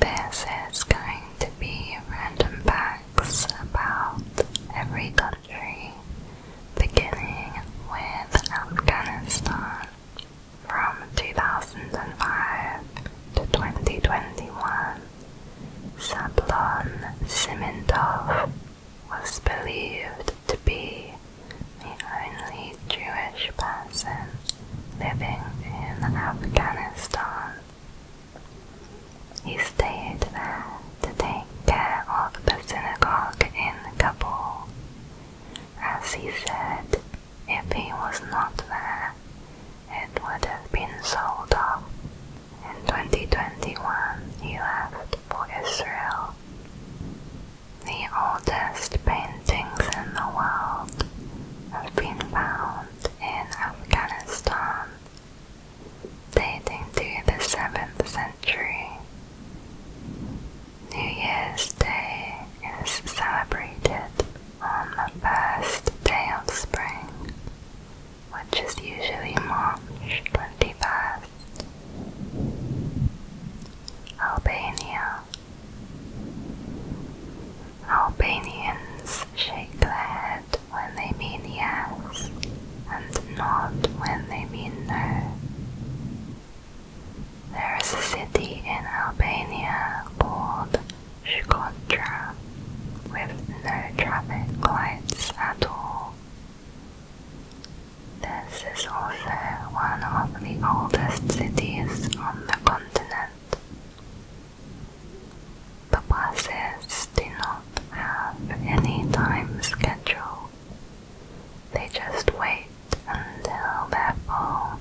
This is going to be random facts about every country, beginning with Afghanistan from 2005 to 2021. Sablon Simintov was believed to be the only Jewish person living in Afghanistan. He stayed there to take care of the synagogue in Kabul. As he said, if he was not there, it would have been sold off. In 2021, he left for Israel. The oldest paintings in the world have been found in Afghanistan dating to the 7th century. New Year's Day is celebrated on the first day of spring, which is usually March 25th. Albania Albanians shake their head when they mean yes and nod when they mean no. There is a city in Albania called Shkodra with no traffic lights at all. This is also one of the oldest cities on the continent, the buses do not have any time schedule. They just wait until they're full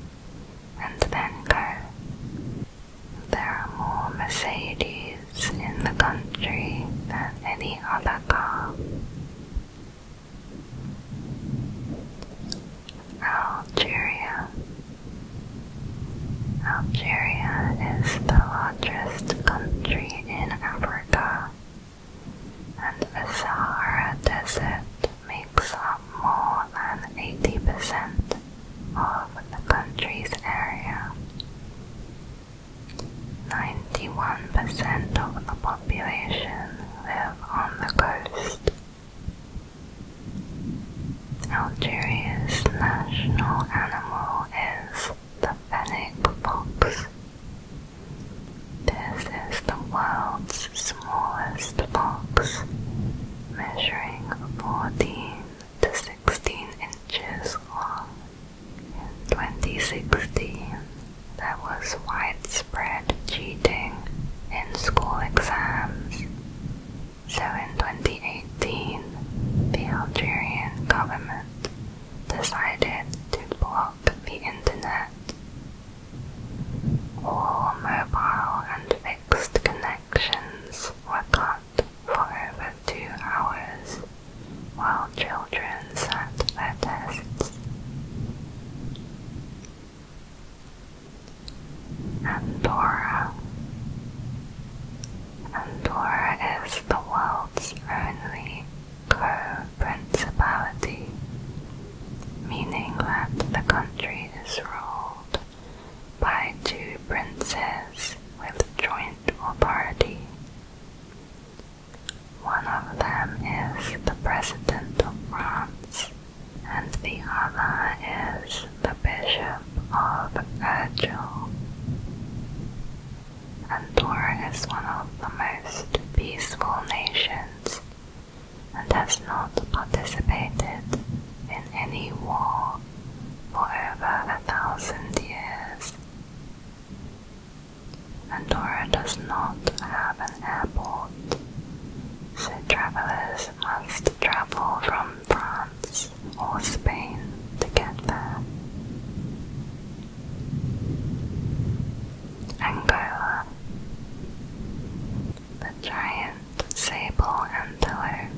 and then go. There are more Mercedes in the country than any other car. Algeria. Algeria is the largest country in Africa, and the Sahara Desert makes up more than 80% of the country's area. 91% of the population live on the coast. Algeria's national animal is the fennec fox. This is the world's smallest fox, measuring 14 to 16 inches long. In 2016, there was widespread cheating in school exams. So in 2018, the Algerian government decided to block the internet. All mobile and fixed connections were cut for over two hours while children sat their tests. Andorra. Andorra is the world's only co-principality, meaning that the country is ruled by two princes with joint authority. One of them is the President of France, and the other is the Bishop of Urgell. Andorra is one of the most peaceful nations and has not participated in any war for over a thousand years. Andorra does not have an airport, so travelers must travel from France or Spain to get there. Angola. The giant sable antelope,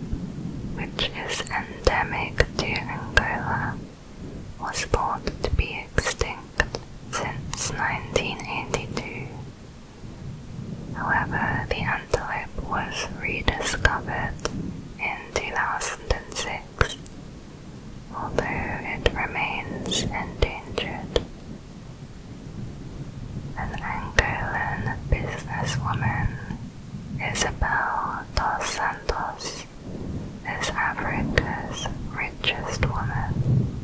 which is endemic to Angola, was thought to be extinct since 1982 However, the antelope was rediscovered in 2006, although it remains endangered. An Angolan businesswoman, Isabel dos Santos, is Africa's richest woman.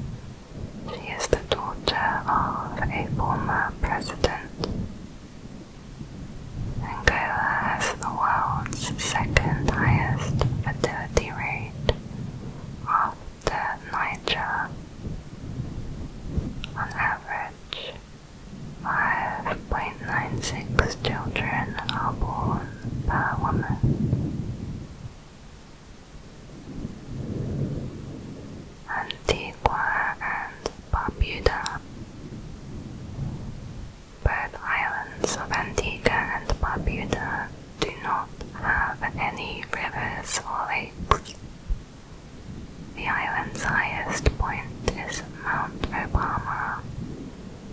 She is the daughter of a former president Angola has the world's second highest fertility rate after Niger. On average, 5.96 children are born per woman. Antigua and Barbuda. Both islands of Antigua and Barbuda do not have any rivers or lakes. The island's highest point is Mount Obama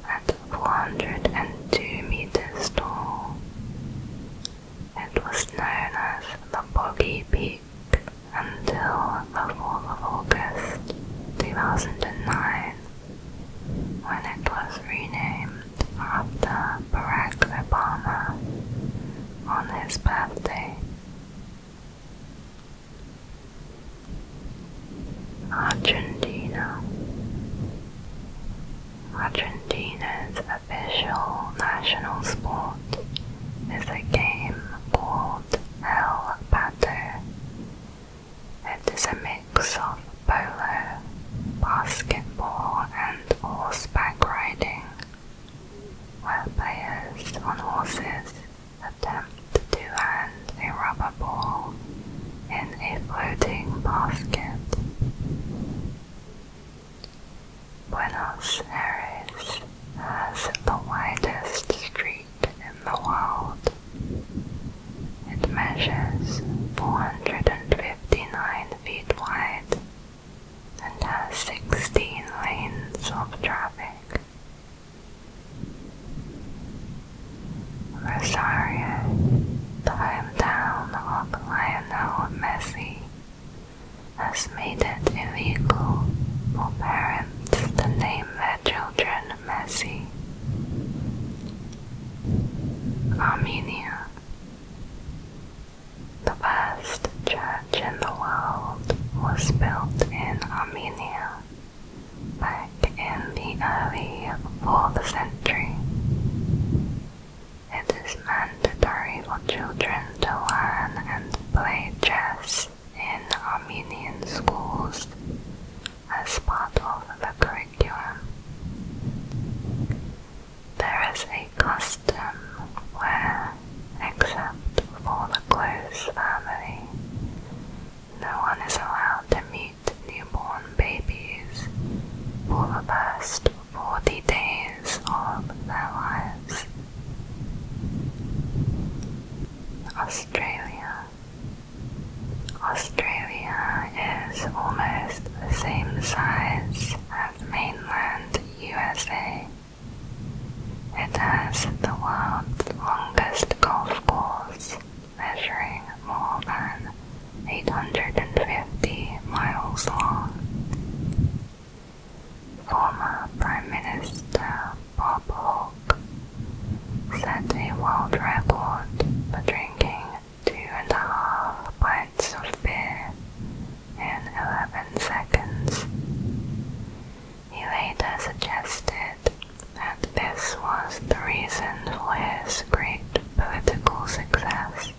at 402 meters tall. It was known as the Boggy Peak until the 4th of August 2009 when it was renamed after Barack Obama on his birthday. Argentina Argentina's official national sport is a game called El Pato. It is a mix of polo, basketball, and horseback riding, where players on horses attempt to hand a rubber ball in a floating basket. Buenos Aires has the widest street in the world. It measures 459 feet wide and has 16 lanes of traffic. Rosario, the hometown of Lionel Messi, has made it illegal for parents to name their children Messi. Armenia, the first church in the world, was built in Armenia back in the early 4th century. It is mandatory for children to learn and play chess in Armenian schools as part of the curriculum. There is a custom where, except for the close family, no one is allowed to meet newborn babies for the first 40 days of their lives. Australia. Australia is almost the same size as mainland USA. It has the world's longest golf course, measuring more than 850 miles long. Former Prime Minister Bob Hawke set a world record for drinking two and a half pints of beer in 11 seconds. He later suggested that this was the reason for his great political success.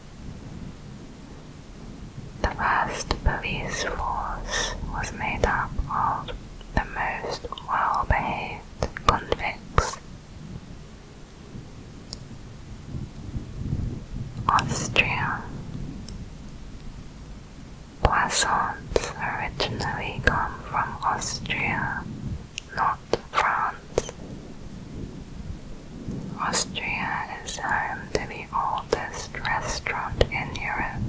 The first police force was made up of the most well-behaved convicts. Austria Poissons originally come from Austria, not France. Austria is home to the oldest restaurant in Europe.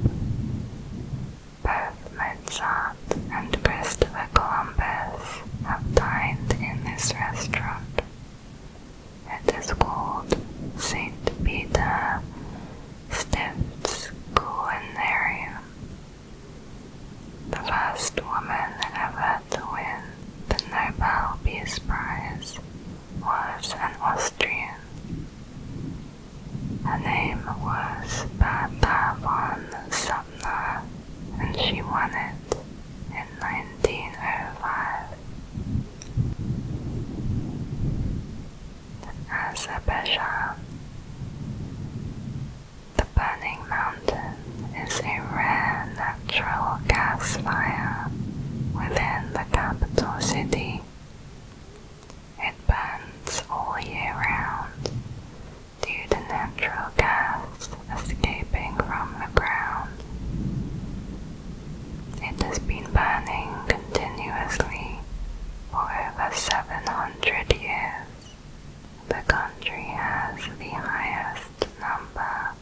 Both Mozart and Christopher Columbus have dined in this restaurant. It is called St. Peter Stift's Culinarium. The first woman ever to win the Nobel Peace Prize was an Austrian. Her name was Babavon Sumner, and she won it in 1905. Azerbaijan. The Burning Mountain is a rare natural gas fire within the capital city. It burns all year round due to natural gas escaping from the ground. It has been burning continuously for over 700 years. The country has the highest number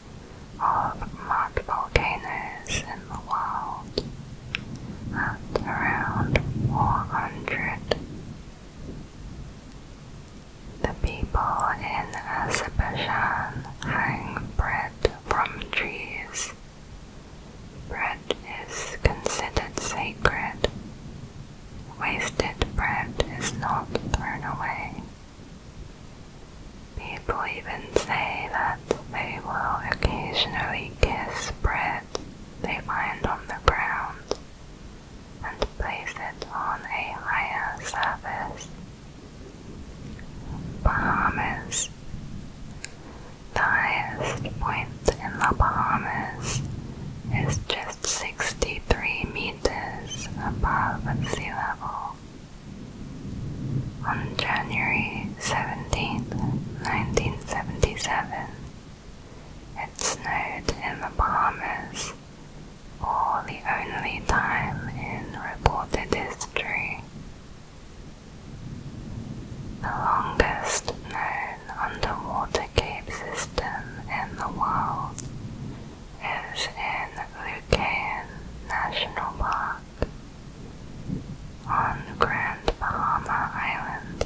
of mud volcanoes in the world at around 400. The people in Azerbaijan hang bread from trees. Bread is considered sacred. Wasted bread is not thrown away. People even say that they will occasionally kiss bread they find on the ground and place it on a higher surface. Bahamas. The highest point in the Bahamas is just 63 meters above sea level. On January 17, 1977, it snowed in the Bahamas for the only time in reported history. The longest known underwater cave system in the world is in the Lucayan National Park on Grand Bahama Island,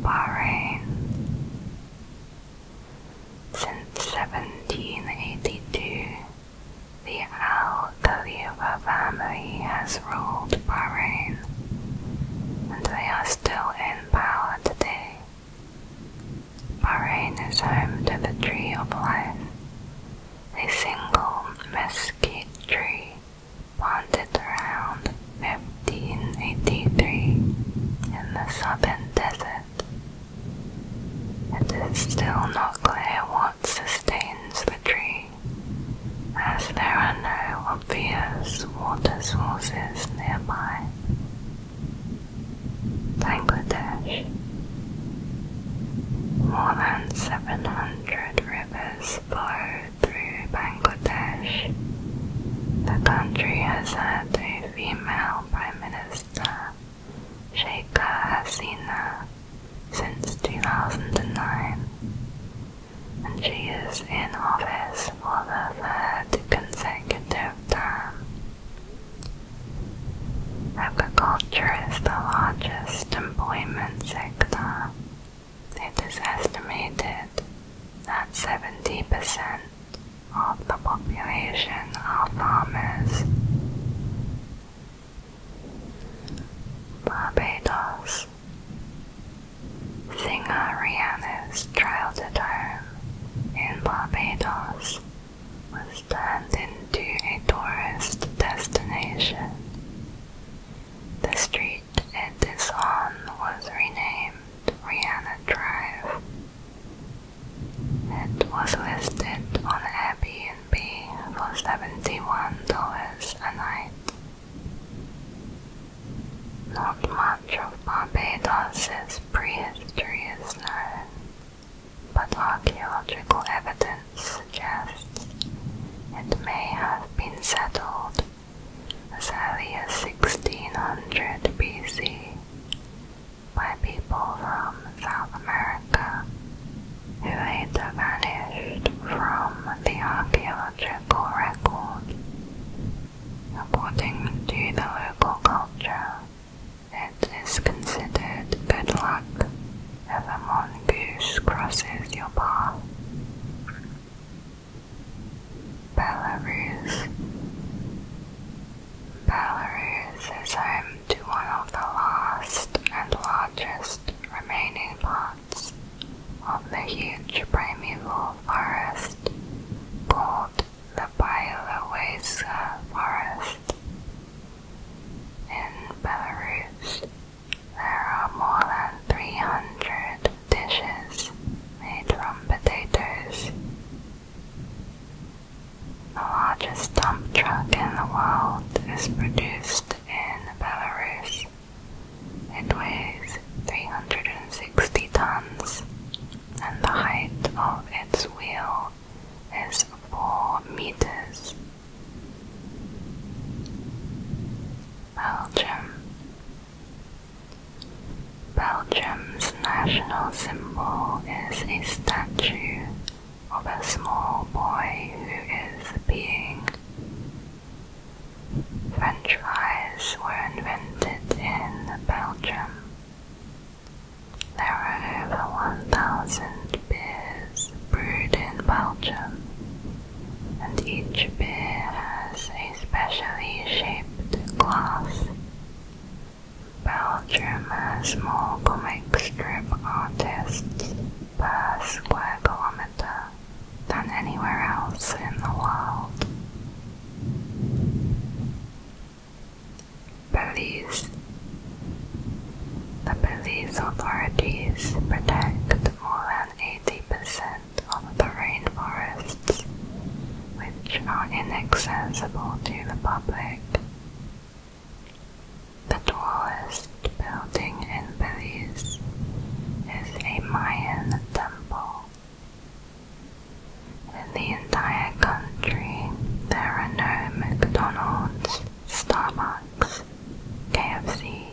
Bahrain. Since 1782, the Al Khalifa family has ruled Bahrain, and they are still in power today. Bahrain is home to the Tree of Life, a single mesquite tree planted around 1583 in the southern desert. It is still not clear what sustains the tree, as there are no obvious water sources nearby. Bangladesh. More than 700 rivers flow through Bangladesh. The country has had a female Prime Minister, Sheikha Hasina, since 2009, and she is in office for the third consecutive term. Agriculture is the largest employment sector it is estimated that 70% of the population are farmers. Barbados Singer Rihanna's childhood home in Barbados was turned into a tourist destination the street it is on was renamed Rihanna Drive. It was listed on Airbnb for $71 a night. Not much of Barbados's prehistory is known, but archaeological evidence suggests it may have been settled as early as 1600 BC by people from South America who later vanished from the archaeological record. According to the local culture, it is considered good luck if a mongoose crosses your path. Belarus. Belarus is home to one of the last and largest remaining parts of the huge primeval forest called the Bielowieska Forest. In Belarus, there are more than 300 dishes made from potatoes. The largest dump truck in the world is produced in Belarus. It weighs 360 tons, and the height of its wheel is 4 meters. Belgium. Belgium's national symbol is a statue of a small boy who is being. French fries were invented in Belgium. There are over 1,000 beers brewed in Belgium, and each beer has a specially shaped glass. Belgium has more comic strip artists per square kilometre than anywhere else in the world. Belize. The Belize authorities protect more than 80% of the rainforests, which are inaccessible to the public. The tallest building in Belize is a Mayan temple. In the entire country, there are no McDonald's, Starbucks, KFC,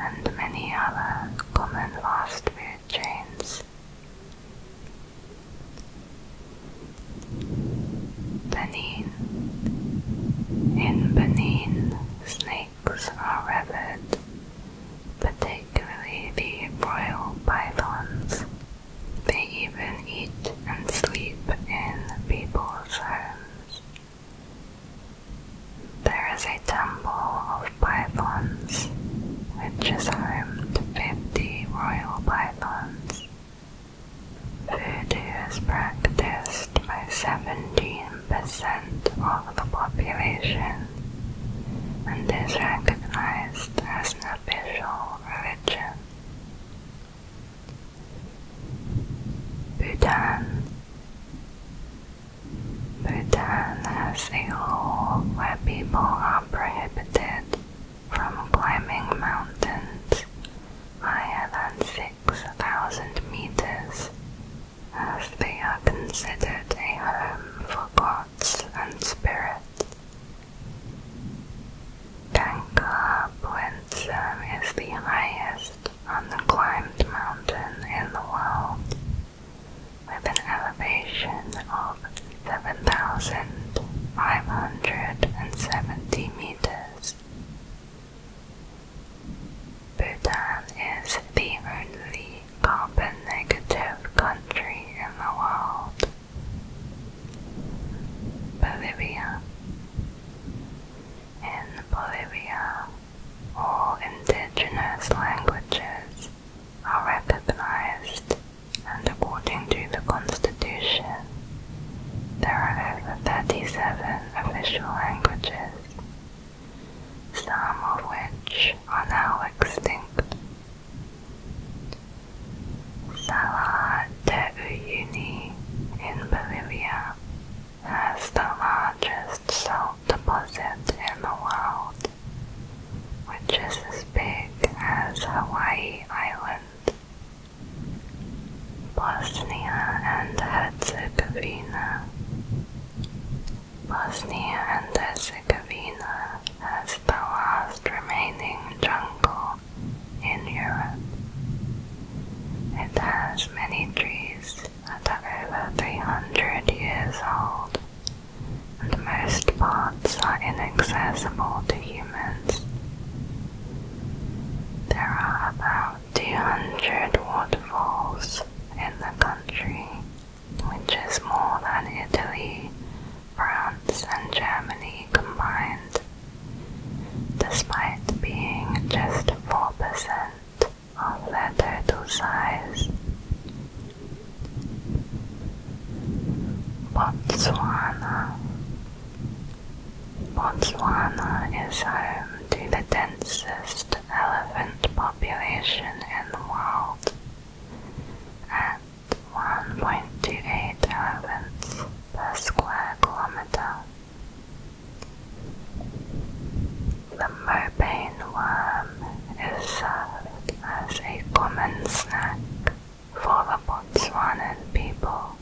and many other common fast food chains. Benin. In Benin, snakes are revered, particularly the royal pythons. They even eat and sleep in people's homes. There is a temple of pythons, which is home to 50 royal pythons. Voodoo is practiced by 17% of the population and is recognized as an official religion. Bhutan Bhutan has a law where people are prohibited from climbing mountains higher than 6,000 meters, as they are considered a home for gods and spirits. Gangkar Puensum is the highest on the climbed mountain in the world, with an elevation of 7,570 meters. Bhutan is the only carbon negative country in the world. Bolivia. In Bolivia, all indigenous languages are recognized and according to the Constitution, there are 37 official languages, some of which are now extinct. Salar de Uyuni in Bolivia has the largest salt deposit in the world, which is as big as Hawaii Island. Bosnia and Herzegovina. Bosnia and Herzegovina has the last remaining jungle in Europe. It has many trees that are over 300 years old, and most parts are inaccessible to humans. There are about 200 waterfalls in the country, which is more than Italy, France, and Germany combined, despite being just 4% of their total size. Botswana Botswana is home to the densest elephant population in the world at 1.28 elephants per square kilometer. The mopane worm is served as a common snack for the Botswanan people.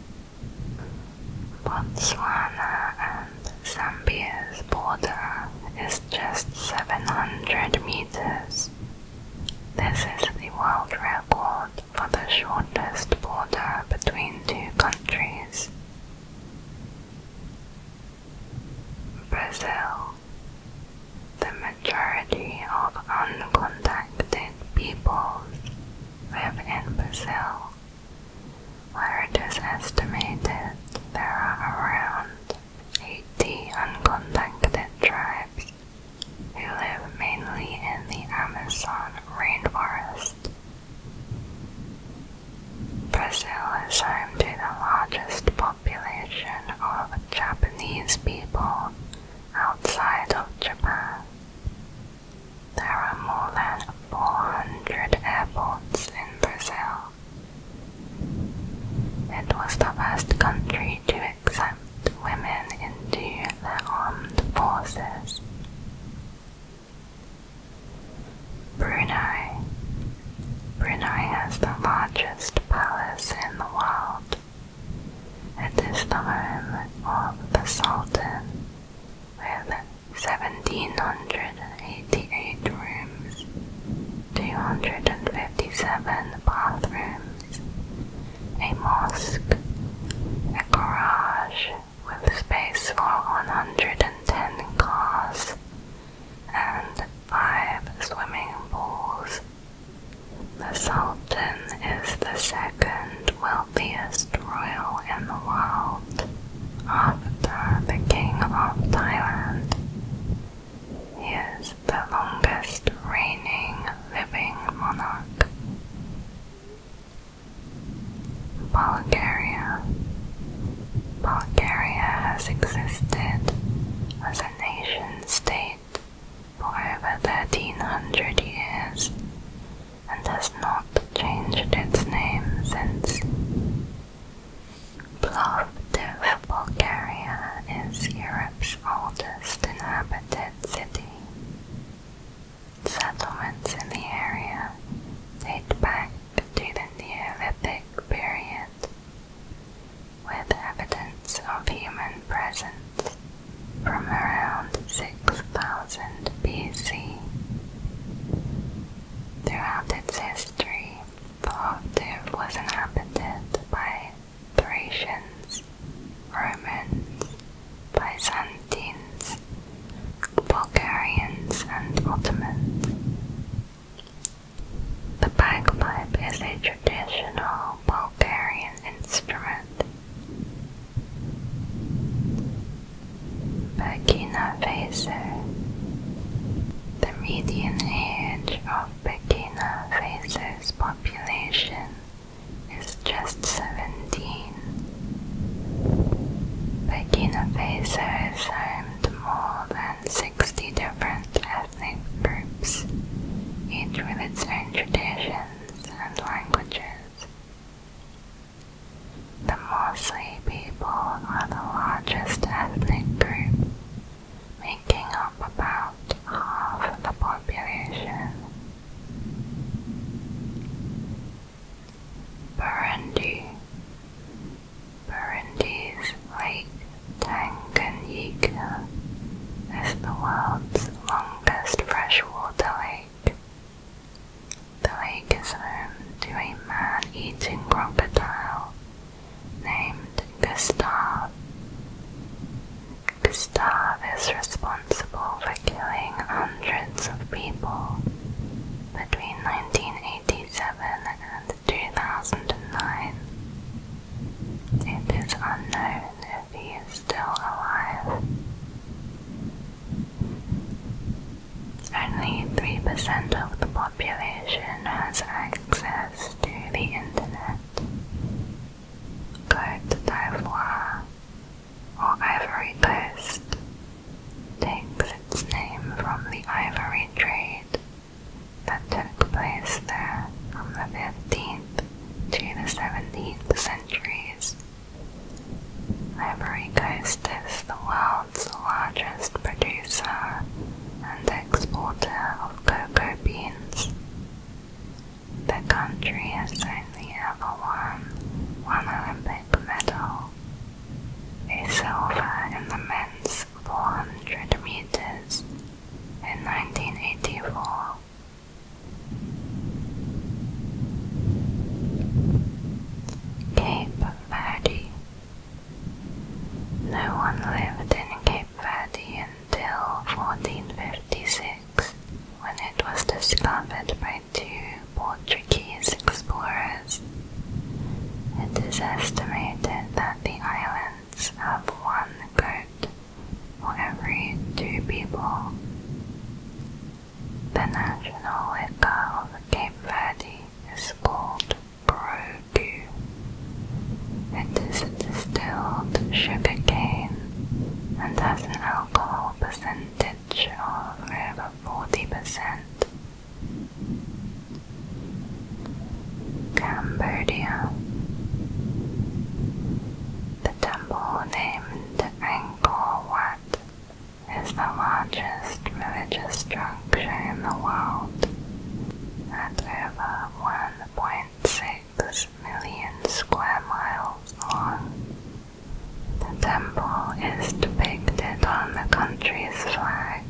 Botswana and Zambia's border is just 700 meters. This is the world record for the shortest border between two countries Brazil. The majority of uncontacted peoples live in Brazil, where it is estimated there are around 80 uncontacted tribes who live mainly in the Amazon rainforest. Brazil is home to the largest population of Japanese people outside of Japan. There are more than 400 airports in Brazil. It was the first country to accept women into the armed forces. Brunei. Brunei has the largest palace in the world. It is the home of the Sultan with 1788 rooms, 257 bathrooms, a mosque, a garage, with space for 110 cars and five swimming pools. The Sultan is the second wealthiest royal in the world after the King of Thailand. He is the longest reigning living monarch. Bulgaria. Bulgaria has existed as a nation state for over 1300 years and has not changed its name since. Plovdiv, Bulgaria is Europe's oldest inhabited city. Settlements in the area date back to the Neolithic period, with evidence of human presence from around 6000 BC. Throughout its history, Plovdiv was inhabited by Thracians, Romans, Byzantines, Bulgarians and Ottomans. The bagpipe is a traditional Bulgarian instrument. Burkina Faso. The median age of Burkina Faso's population is just 17. Burkina Faso is home more than 60 different ethnic groups, each with its own traditions and languages. The Morsli people are the largest ethnic group, making up about half the population. Burundi. Burundi's Lake Tanganyika is the world's longest freshwater lake. The lake is home to a man-eating crocodile named Gustav. Gustav is responsible for killing hundreds of people between 1987 and. In 2009. It is unknown if he is still alive. Only 3% of the population has access to the internet. Côte d'Ivoire, or Ivory Coast, takes its name from the ivory trade that took place there from the 15th to the 17th centuries. Ivory Coast is the world's largest producer and exporter of cocoa beans. The country has only ever won one Olympic medal a silver in the men's 400 meters in 1984. Cape Verde. No one lived in Cape Verde until 1456, when it was discovered by two Portuguese explorers. It is estimated that the islands have one goat for every two people. The national liquor of Cape Verde is called brogu. It is distilled sugar cane and has an alcohol percentage of over 40%. Cambodia. The temple named Angkor Wat is the largest religious structure in the world at over 1.6 million square miles long. The temple is depicted on the country's flag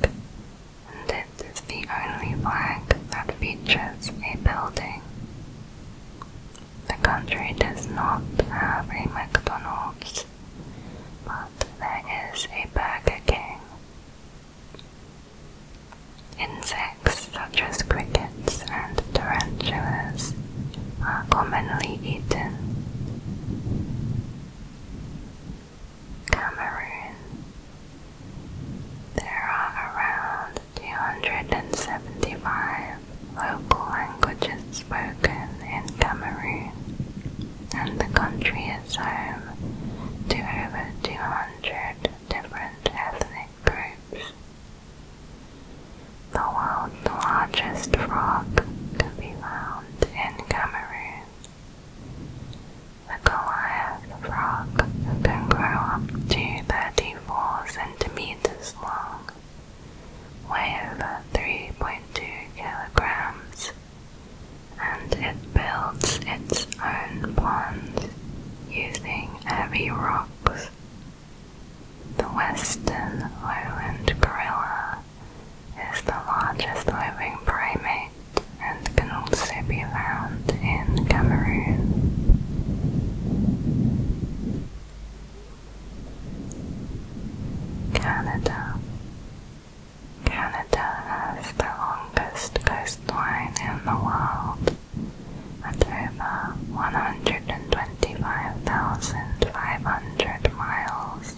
this is the only flag that features a building. The country does not have a McDonald's, but there is a Burger King. Insects such as crickets and tarantulas are commonly eaten. Cameroon. There are around 275 local languages spoken in Cameroon, and the country is home to over 200 different ethnic groups. The world's largest frog can be found in Cameroon. The Goliath frog can grow up to 34 centimeters long, weigh over 3.2 kilograms, and it builds its own ponds using heavy rocks. The western Island gorilla is the largest living primate and can also be found in Cameroon. Canada Canada has the longest coastline in the world at over 125,500 miles.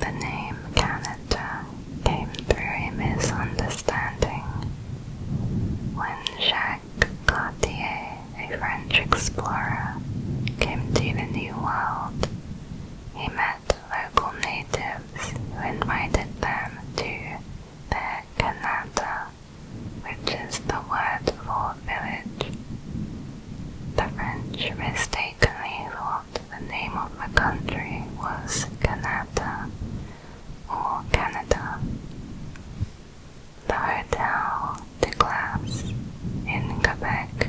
The name Canada came through a misunderstanding. When Jacques Cartier, a French explorer, came to the New World, he met local natives who invited them to their Canada, which is the word for village. The French mistakenly thought the name of the country was Canada, or Canada. The Hotel de Glace in Quebec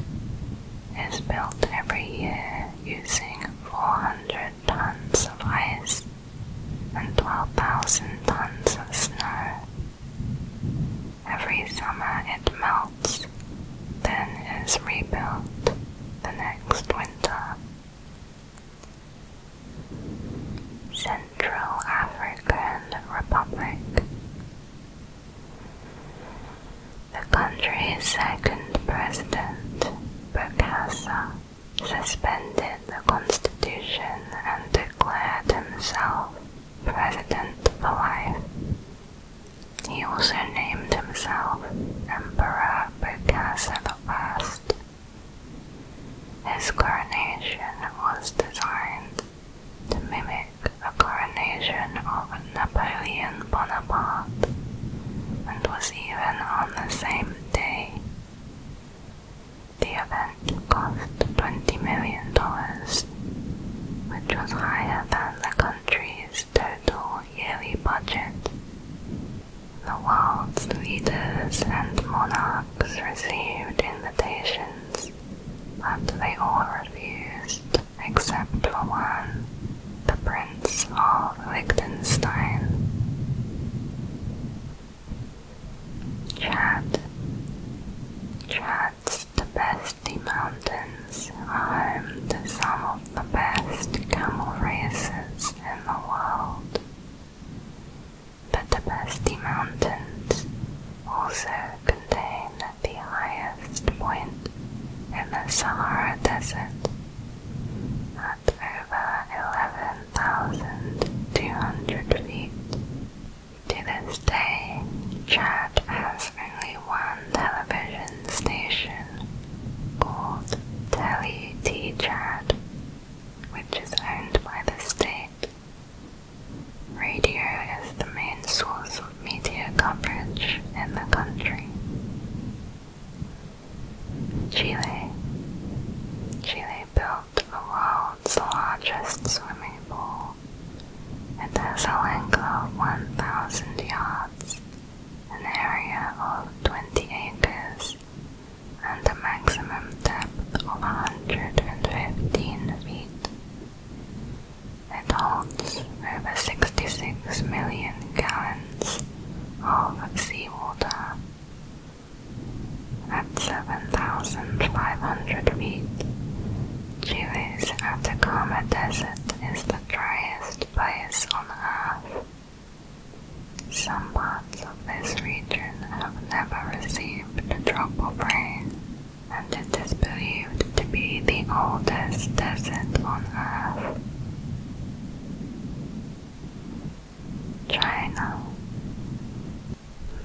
is built every year using 400 tons of ice and 12,000 tons of snow. Every summer it melts then is rebuilt the next winter. Central African Republic. The country's second president, Bokassa, suspended the constitution and declared himself president for life. He also named himself Emperor the First. His coronation was designed to mimic the coronation of Napoleon Bonaparte and was even on the same day. The event cost $20 million, which was higher than the country's total yearly budget. The world's leaders and monarchs received invitations, but they all refused, except for one, the Prince of Liechtenstein. Chad. Chad's the best mountain Games are home to some of the best camel races in the world. But the Besti Mountains also contain the highest point in the Sahara Desert at over 11,200 feet. To this day, Chad has only one television station called Teli which is owned by the state. Radio is the main source of media coverage in the country. Chile. Chile built the world's largest swimming pool. It has a length of 1,000 yards an area of 20 acres and a maximum depth of 115 feet. It holds over 66 million gallons of seawater. At 7,500 feet, Chile's Atacama Desert is the driest place on Earth. Some parts of this region have never received a drop of rain, and it is believed to be the oldest desert on Earth. China.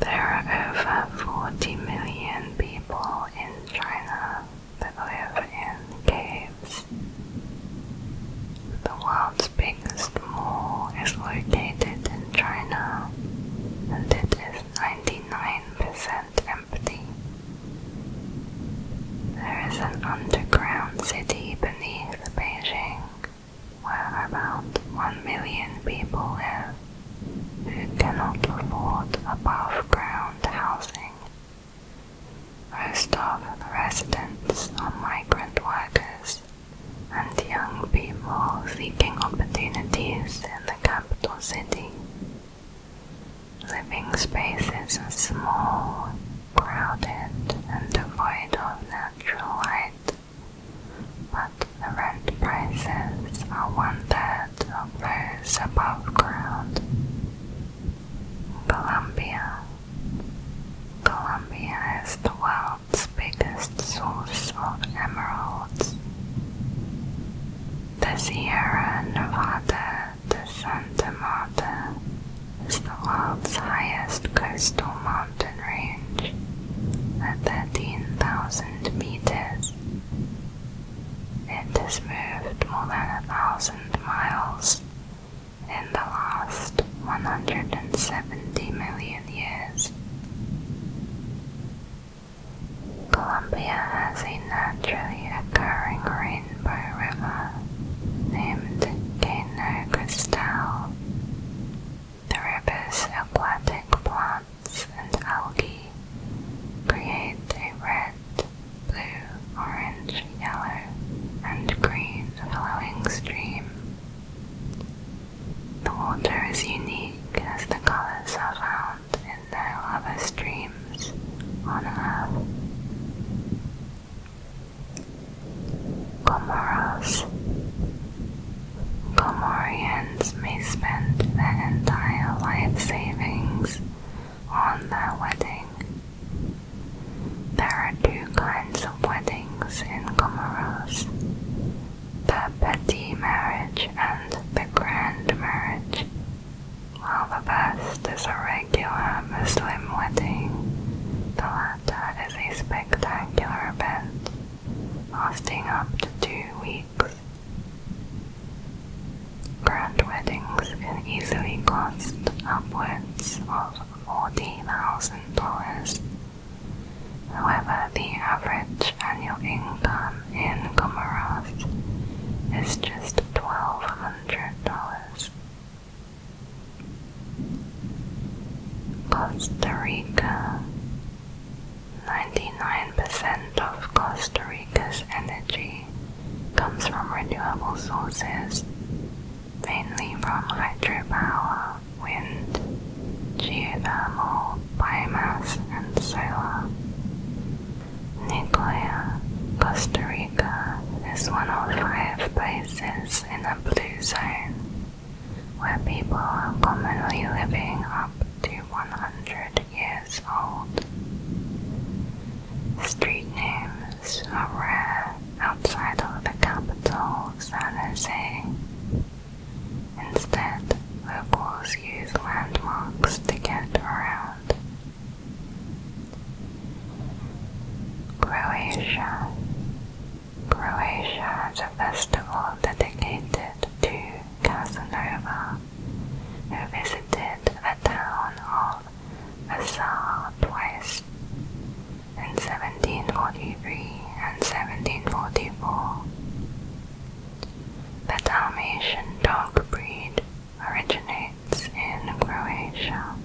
There are over 40 million people in China, that live in caves. The world's biggest mall is located in China and it is 99% empty. There is an underground city beneath Beijing where about 1 million people live who cannot afford above ground housing most of the residents are migrant workers and young people seeking opportunities in the capital city. Living spaces are small, crowded, and devoid of natural light, but the rent prices are one third of those above ground. Colombia. Colombia is the world's biggest source of emeralds. The Sierra Nevada de Santa Marta is the world's highest coastal mountain range at 13,000 meters. It has moved more than a thousand miles in the last 170 million years. Columbia has a naturally occurring rainbow river named Cano Cristal. The river's aquatic plants and algae create a red blue, orange, yellow, and green flowing stream. The water is unique as the colors are found in no other streams on Earth. Comoros. Comorians may spend their entire life savings on their wedding. There are two kinds of weddings in Comoros the petit marriage and the grand marriage, while the first is a regular Muslim wedding, the latter is a spectacular event lasting up to two weeks. Grand weddings can easily cost upwards of fourteen thousand dollars However, the average annual income in Comoros is just $1,200. Costa Rica 99% of Costa Rica's energy comes from renewable sources, mainly from hydropower, wind, geothermal, biomass, and solar. Nuclear, Costa Rica is one of five places in the blue zone where people are commonly living up to 100 years old. Street names flowers are rare outside of the capital, San Instead, locals use landmarks to get around. Croatia. Croatia has a festival dedicated to Casanova, who visited the town of Vassar in 1743 and 1744. The Dalmatian dog breed originates in Croatia.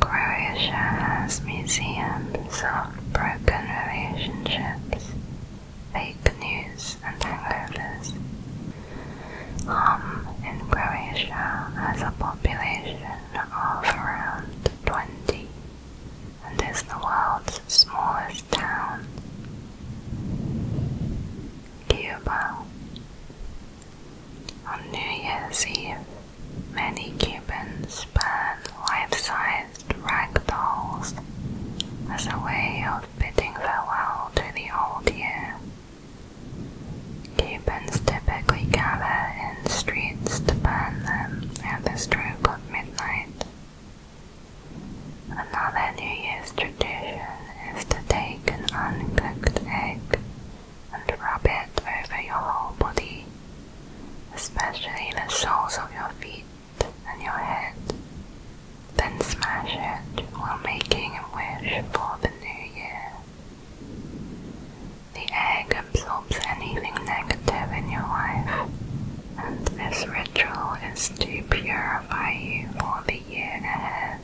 Croatia has museums of broken relationships, fake news, and hangovers, Hum in Croatia has a population of around 20 and is the world's smallest town. Cuba. On New Year's Eve, many Cubans burn life-sized rag dolls as a way of bidding farewell to the old year. Cubans typically gather in streets to burn them at the stroke of midnight. Another New Year's tradition is to take an uncooked egg and rub it over your whole body, especially the soles of your feet and your head, then smash it while making a wish for the new year. The egg absorbs anything negative in your life, and this ritual is to purify you for the year ahead.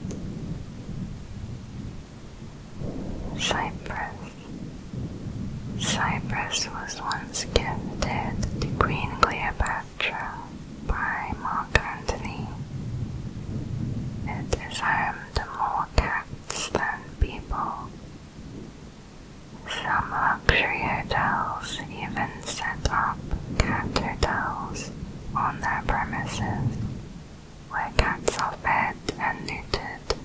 Cyprus. Cyprus was once gifted to Queen Cleopatra by Mark Antony. It is home happened to more cats than people. Some luxury hotels even set up cat hotels on their premises, where cats are fed and neutered.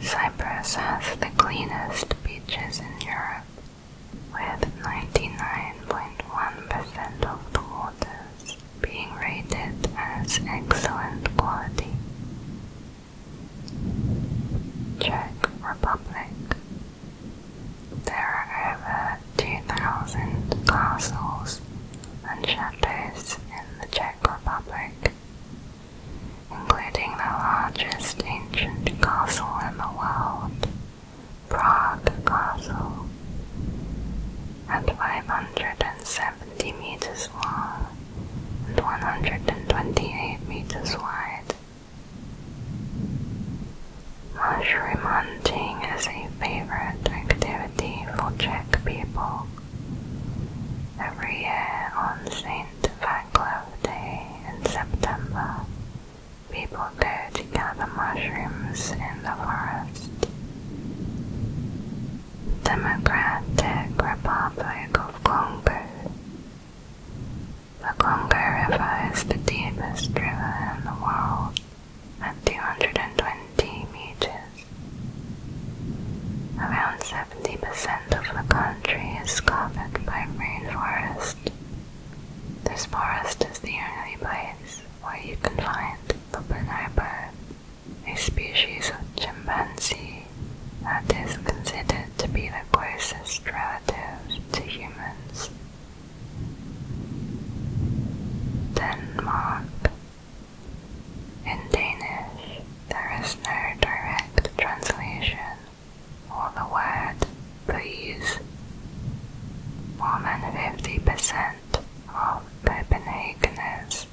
Cyprus has the cleanest beaches in Europe, with 99.1% of the waters being rated as excellent quality. Czech Republic. There are over 2,000 castles and chateaus in the Czech Republic, including the largest ancient castle in the world, Prague Castle, and 570 meters long and 128 meters wide. Mushroom hunting is a favorite activity for Czech people. Every year on St. Vaclav Day in September, people go to gather mushrooms in the forest. Democratic Republic of Congo. The Congo River is the deepest river in the world at 220 meters. Around 70% of the country is covered by rainforest. This forest is the only place where you can find the bonobo, a species of chimpanzee that is considered to be the closest relative to humans. Denmark. In Danish, there is no direct translation or the word please. More than 50% of Copenhageners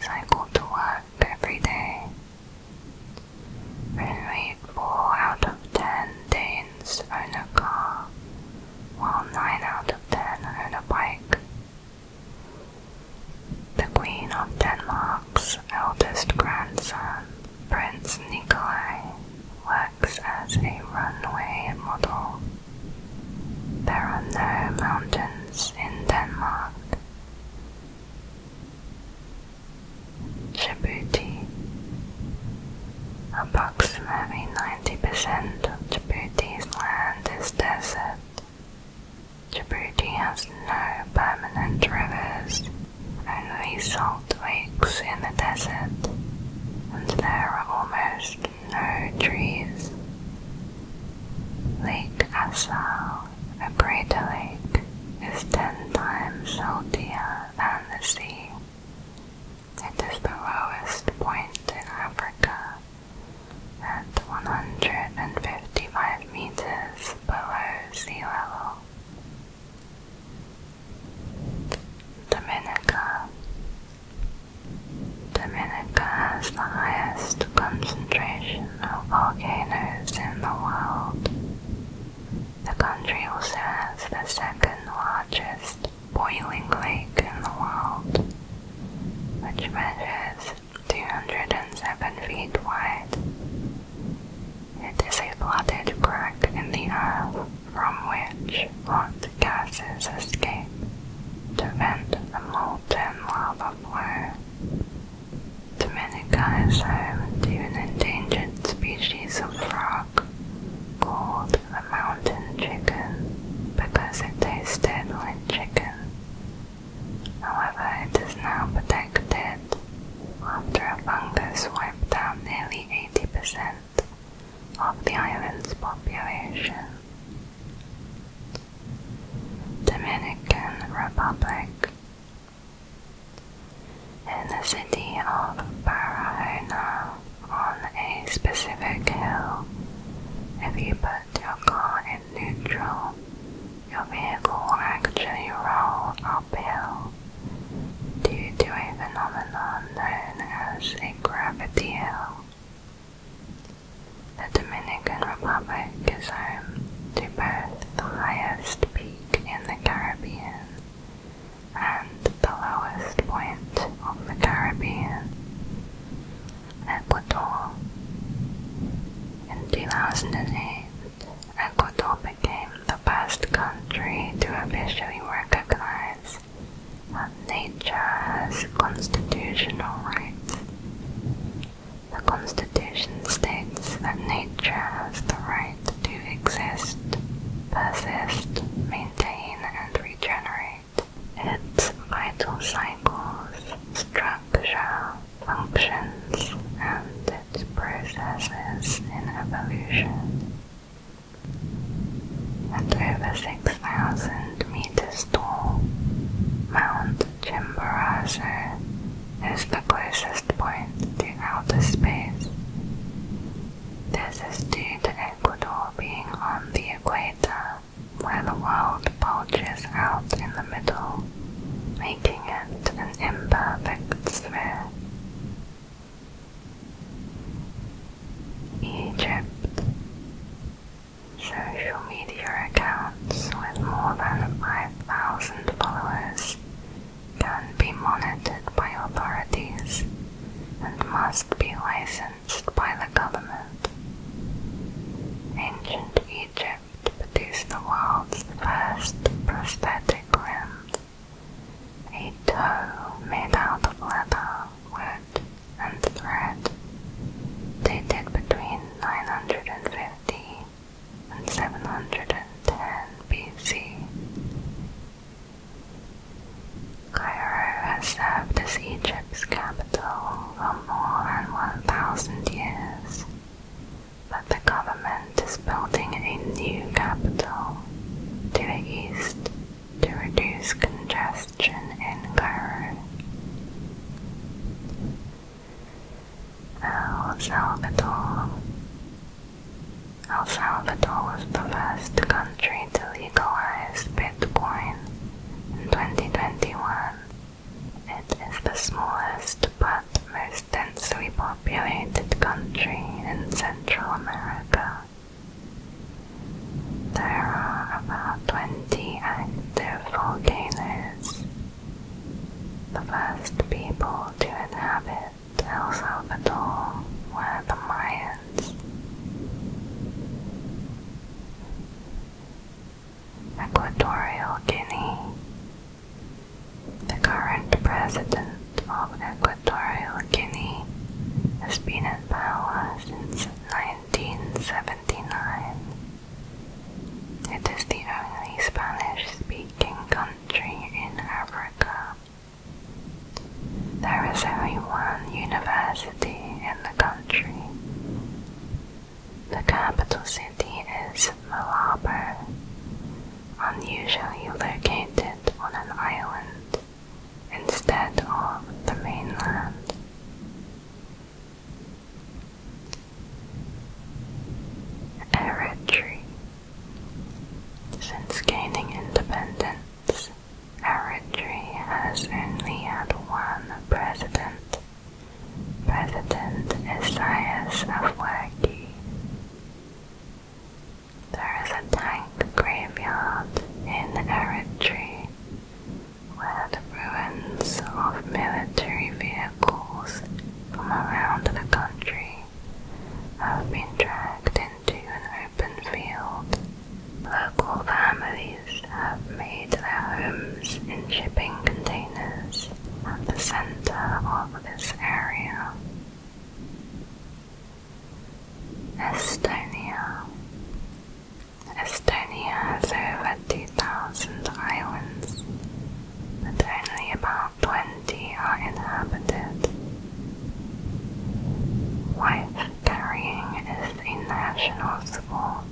cycle to work every day. Only four out of ten Danes own a car, while nine out of ten own a bike. The Queen of Denmark's eldest grandson, Prince Nikolai, works as a runway model there are no mountains in Denmark. Djibouti. Approximately 90% of Djibouti's land is desert. Djibouti has no permanent rivers, only salt lakes in the desert, and there are almost no trees. Lake Assal, a greater lake, is ten times saltier than the sea. It is the lowest point in Africa, at 155 meters below sea level. Dominica, Dominica has the highest concentration of volcanoes in the world. The country also has the second largest boiling lake in the world, which measures 207 feet wide. It is a flooded crack in the earth from which hot gases escape vent the molten lava flow. Dominica is home to an endangered species of frog called the mountain chicken because it tasted like chicken. However, it is now protected after a fungus wiped out nearly 80% of the island's population. Dominican Republic. In the city of Barahona, on a specific hill, if you put your car in neutral, your vehicle will actually roll uphill due to a phenomenon known as a gravity hill. The Dominican Republic is home to both the highest peak in the Caribbean and the lowest point of the Caribbean, Ecuador. In 2008, Ecuador became the first country to officially recognize that nature has constitutional rights. The Constitution states that nature has the right to exist, persist, maintain, and regenerate its vital cycles, structure, functions, and its processes in evolution. And over 6,000 meters tall, Mount Chimborazo is the closest point to outer space. This is due to Ecuador being on the equator, where the world bulges out in the middle, making it an imperfect sphere. Egypt social media accounts with more than 5,000 followers can be monitored by authorities and must be licensed by the government. Ancient Egypt produced the world's first prosthetic limb, a toe made out of leather with art and thread dated between 950 and 710 BC. Cairo has served as Egypt's capital for more than 1,000 years, but the government is building a new capital to the east to reduce congestion. Christian in Cairo. El Salvador El Salvador was the first country to legalize Bitcoin in 2021. It is the smallest but most densely populated country in Central America. There are about 20 active volcanoes. The first people to inhabit El Salvador were the Mayans. Equatorial Guinea. The current president of Equatorial Guinea has been in power since 1970. It is the only Spanish-speaking country in Africa. There is only one university in the country. The capital city is Malabo, unusually located on an island instead of the mainland. Eritrea. Since gaining independence, Eritrea has only had one president, President Isaias Afwerki. There is a tank graveyard in Eritrea where the ruins of military vehicles from around the country have been dragged into an open field. Local families have made their homes in shipping containers at the center of this area. Estonia Estonia has over 2,000 islands, but only about 20 are inhabited. Wife carrying is a national sport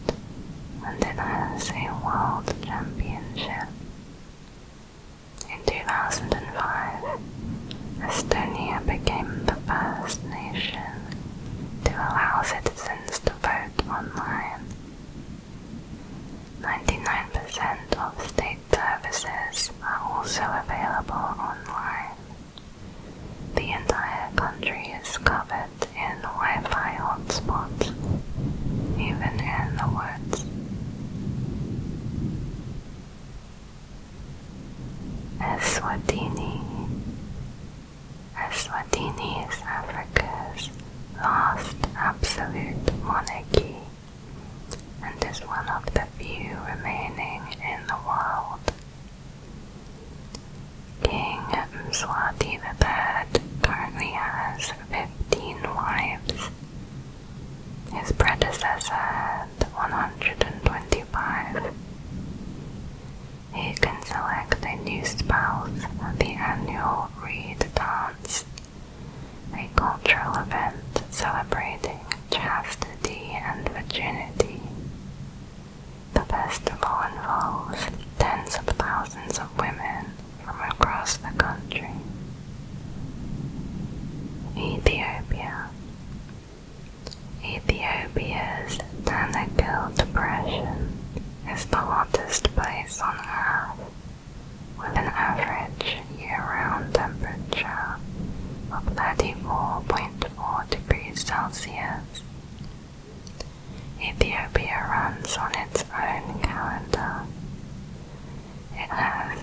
and it a world championship. In 2005, Estonia became the first nation to allow citizens to vote online. 99% of state services are also available online. The entire country is covered in Wi-Fi hotspots, even in the woods. Eswatini as Swatini is Africa's last absolute monarchy and is one of the few remaining in the world. King Mswati III currently has 15 wives. His predecessor had 125. You can select a new spouse at the annual Reed Dance, a cultural event celebrating chastity and virginity. The festival involves tens of thousands of women from across the country. Ethiopia Ethiopia's Danakil Depression is the hottest place on Earth, with an average year-round temperature of 34.4 degrees Celsius. Ethiopia runs on its own calendar. It has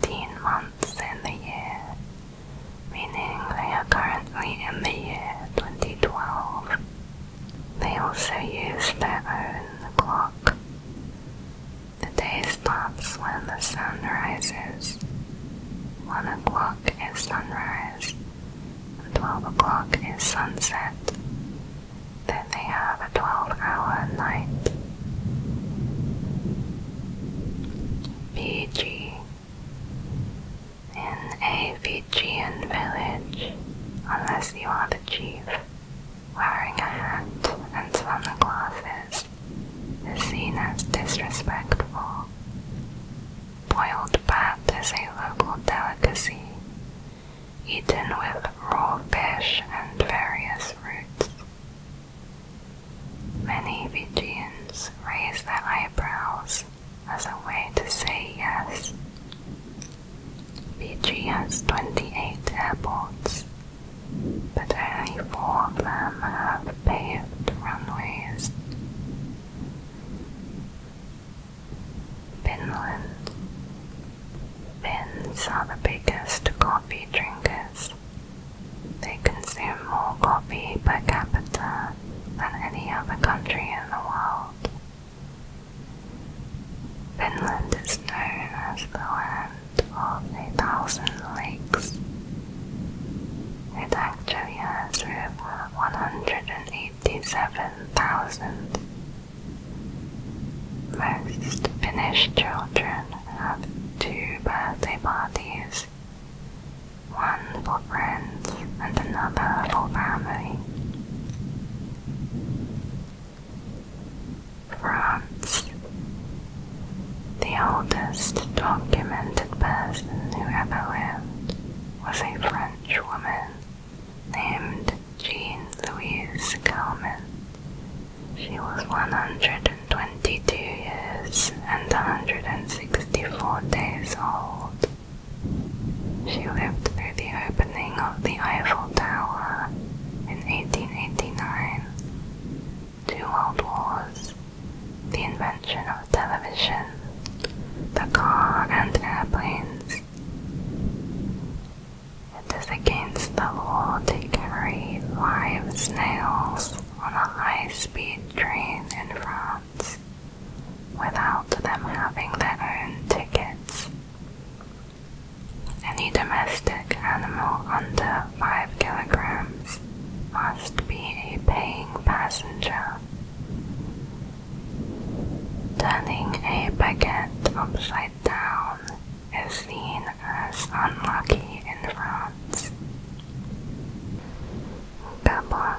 13 months in the year, meaning they are currently in the year 2012. They also use their own clock. The day stops when the sun rises. One o'clock is sunrise, twelve o'clock is sunset. Then they have a twelve-hour night. Fiji in a Fijian village, unless you are the chief, wearing a hat and sunglasses is seen as disrespectful. Boiled bat is a local delicacy, eaten with raw fish and various fruits. Many Fijians raise their eyebrows as a way to say yes. Fiji has 28 airports, but only four of them have paved runways. Finland. Finns are the biggest coffee drinkers. They consume more coffee per capita than any other country in the world. Finland is known as the land of a thousand lakes. It actually has over 187,000. Most Finnish children have two birthday parties, one for and another family. France. The oldest documented person who ever lived was a French woman named Jean Louise Calment. She was 122 years and 164 days old she lived through the opening of the Eiffel Tower in 1889, two world wars, the invention of television, the car and airplanes. It is against the law to carry live snails on a high-speed train in France without them having their own tickets. Any domestic animal under 5 kilograms must be a paying passenger. Turning a baguette upside down is seen as unlucky in France. Gabon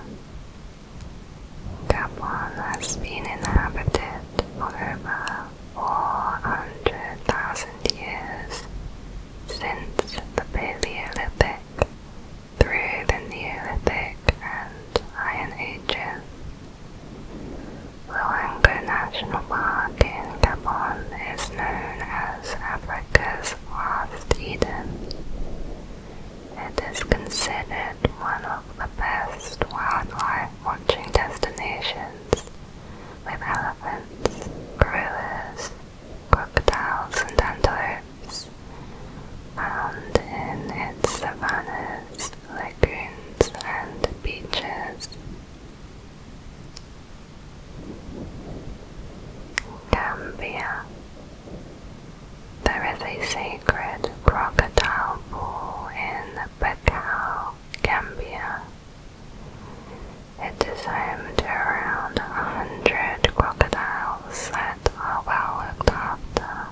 Gabon has been inhabited for over 400,000 years since the Paleolithic through the Neolithic and Iron Ages. Luango National Park in Gabon is known as Africa's last Eden. It is considered one of the best wildlife watching destinations, with elephants, gorillas, crocodiles and antelopes found in its savannas, lagoons and beaches. Gambia there is a sacred crocodile pool in Bacau, Gambia. It is home to around 100 crocodiles that are well looked after.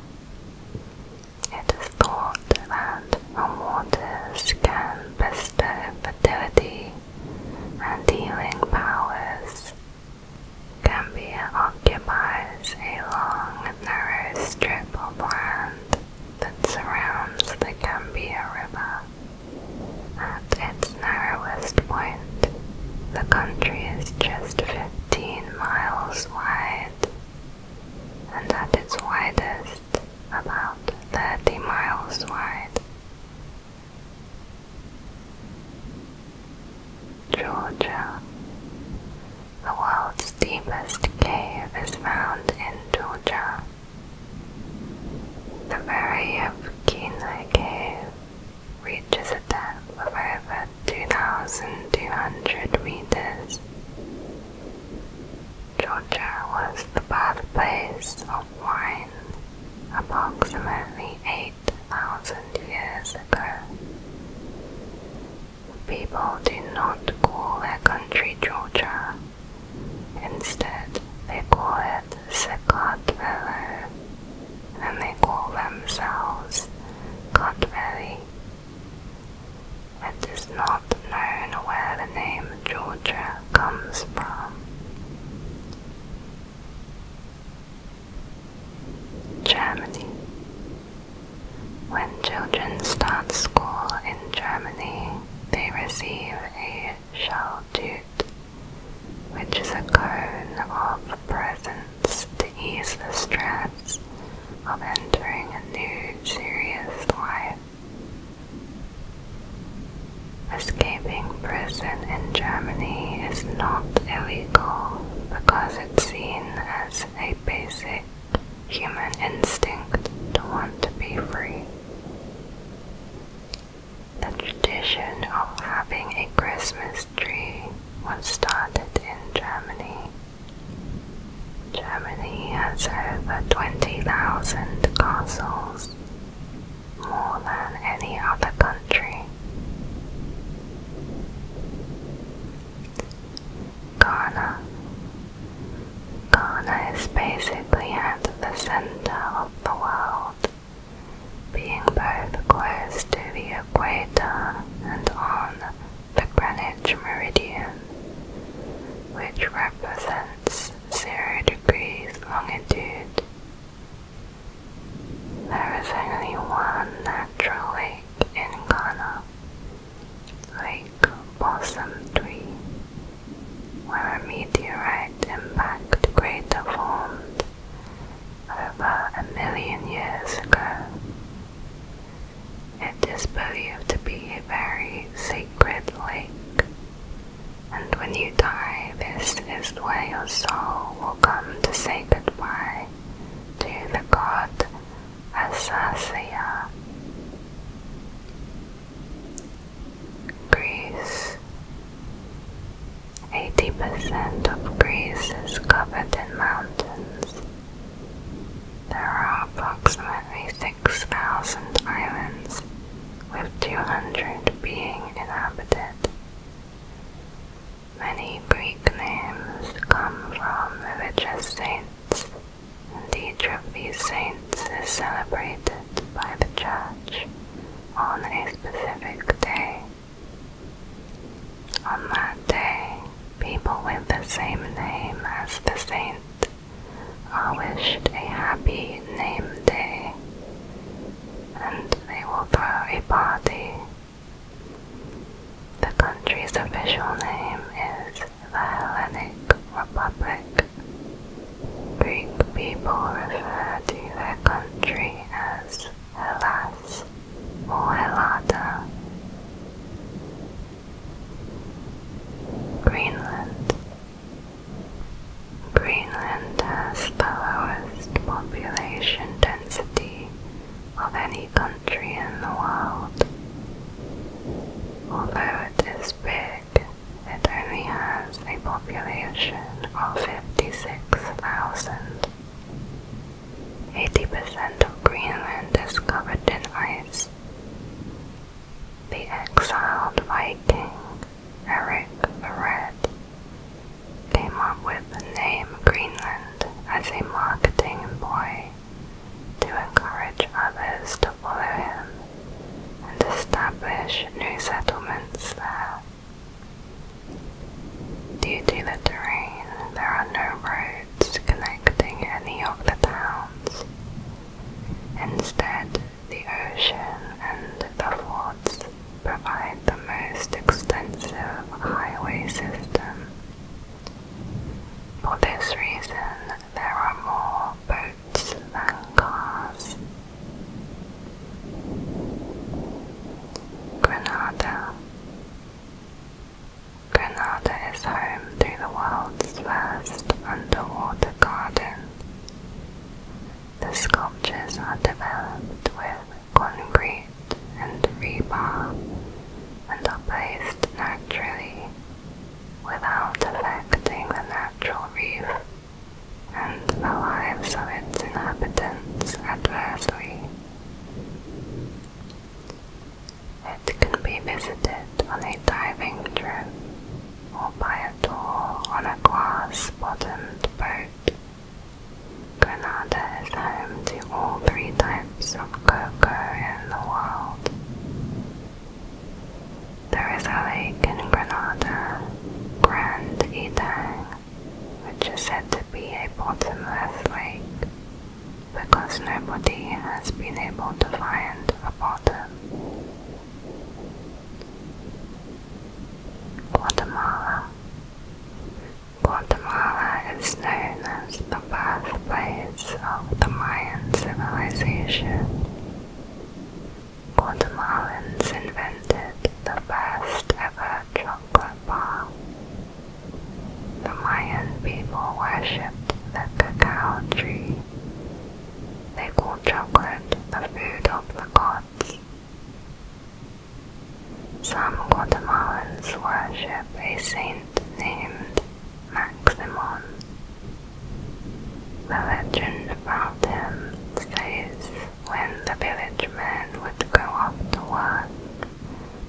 It is thought that the waters can bestow fertility and healing powers. Gambia occupies a long, narrow strip of land that surrounds the Gambia River. At its narrowest point, the country is just 15 miles wide, and at its widest, about 30 miles wide. Georgia the world's deepest cave is found in Georgia. The very of Kenai Cave reaches a depth of over 2,200 meters. Georgia was the birthplace of wine approximately 8,000 years ago. People did not call their country Georgia. Instead, they call it Secardville, and they call themselves Cardville. It is not known where the name Georgia comes from. Germany when children start school in Germany, they receive a Schaldut, which is a cone of presents to ease the stress of entering a new serious life. Escaping prison in Germany is not illegal because it's seen as a basic human instinct to want to be free. The tradition of having a Christmas tree was started in Germany. Germany has over 20,000 castles, more than any other country. Ghana. Ghana is basically at the center of the world, being both close to the equator and on the Greenwich Meridian, which represents zero degrees longitude. There is only one natural lake in Ghana, Lake Blossom Tree, where a meteorite impact crater formed over a million years ago. It is believed to be a very sacred lake, and when you die, this is where your soul will come to say goodbye to the god Assasia, Greece. 80% of Greece is covered in mountains. There are approximately 6,000 islands, with 200 being inhabited. Many Greek names come from religious saints saints. Each of these saints is celebrated by the church on a specific day. On that day, people with the same name as the saint are wished a happy name day, and they will throw a party the country's official name is the Hellenic Republic. Greek people refer to their country as Hellas or Helata. Greenland. Greenland has the lowest population density of any country in the world. Although it is big, it only has a population of 56,000. 80% of Greenland is covered in ice. The exiled Viking, Eric the Red, came up with the name Greenland as a marketing ploy to encourage others to follow him and establish new settlements there. Due to the terrain, there are no roads connecting any of the towns. Instead, the ocean and the forts provide the most extensive highway system for this reason, there are more boats than cars. Grenada. Grenada is home to the world's first underwater garden. The sculptures are developed with concrete and rebar and are placed naturally without affecting the natural reef and the lives of its inhabitants adversely. It can be visited on a diving trip or by a tour on a glass-bottomed boat. Granada is home to all three types of cocoa in the world. There is a lake in Granada, Grand Etang, which is said to be a bottomless lake because nobody has been able to find a bottom. Guatemala. Guatemala is known as the birthplace of the Mayan civilization. Guatemalans invented the first ever chocolate bar. The Mayan people worshipped the cacao tree. They called chocolate the food of the gods. Some Guatemalans worship a saint named Maximon. The legend about him says when the village men would go off to work,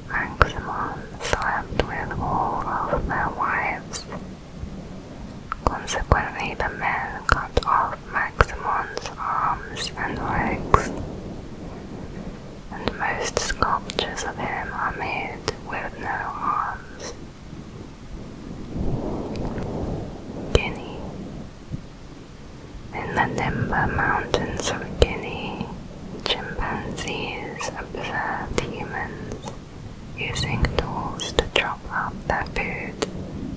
Maximon slept with all of their wives. Consequently, the men cut off Maximon's arms and legs and most sculptures of him are made with no arms. Guinea In the Nimba Mountains of Guinea, chimpanzees observed humans using tools to chop up their food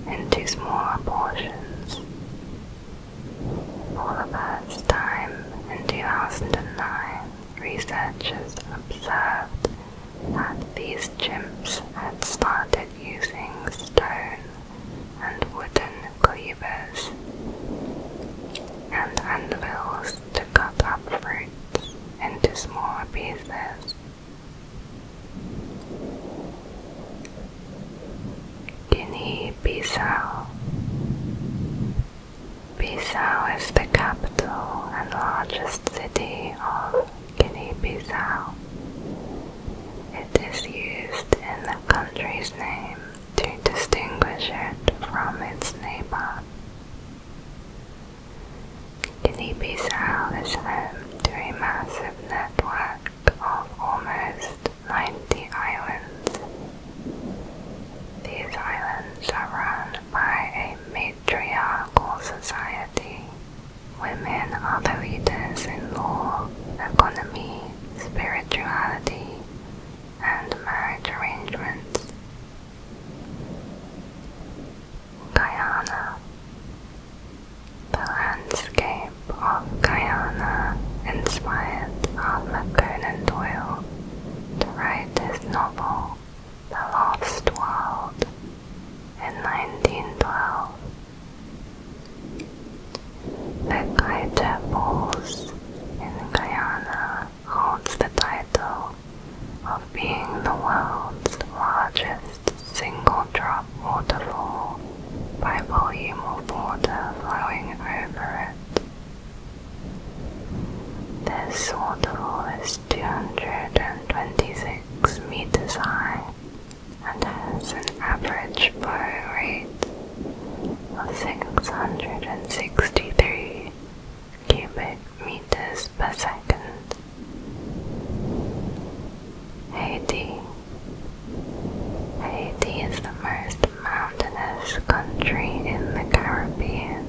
into smaller portions. For the first time in 2009, researchers observed that these chimps had started using stone and wooden cleavers and anvils to cut up fruits into smaller pieces. Guinea-Bissau Bissau is the capital and largest city of Guinea-Bissau. It is used in the country's name to distinguish it from its neighbor. Guinea-Bissau is home to a massive network of almost 90 islands these islands are run by a matriarchal society. Women are the leaders in law, economy, spirituality, and marriage arrangements. Guyana The landscape of Guyana inspired Arthur Conan Doyle to write his novel the Lost World in 1912. The Kaita Falls in Guyana holds the title of being the world's largest single drop waterfall by volume of water flowing over it. This waterfall is 226 meters high and has an average flow rate of 663 cubic meters per second. Haiti. Haiti is the most mountainous country in the Caribbean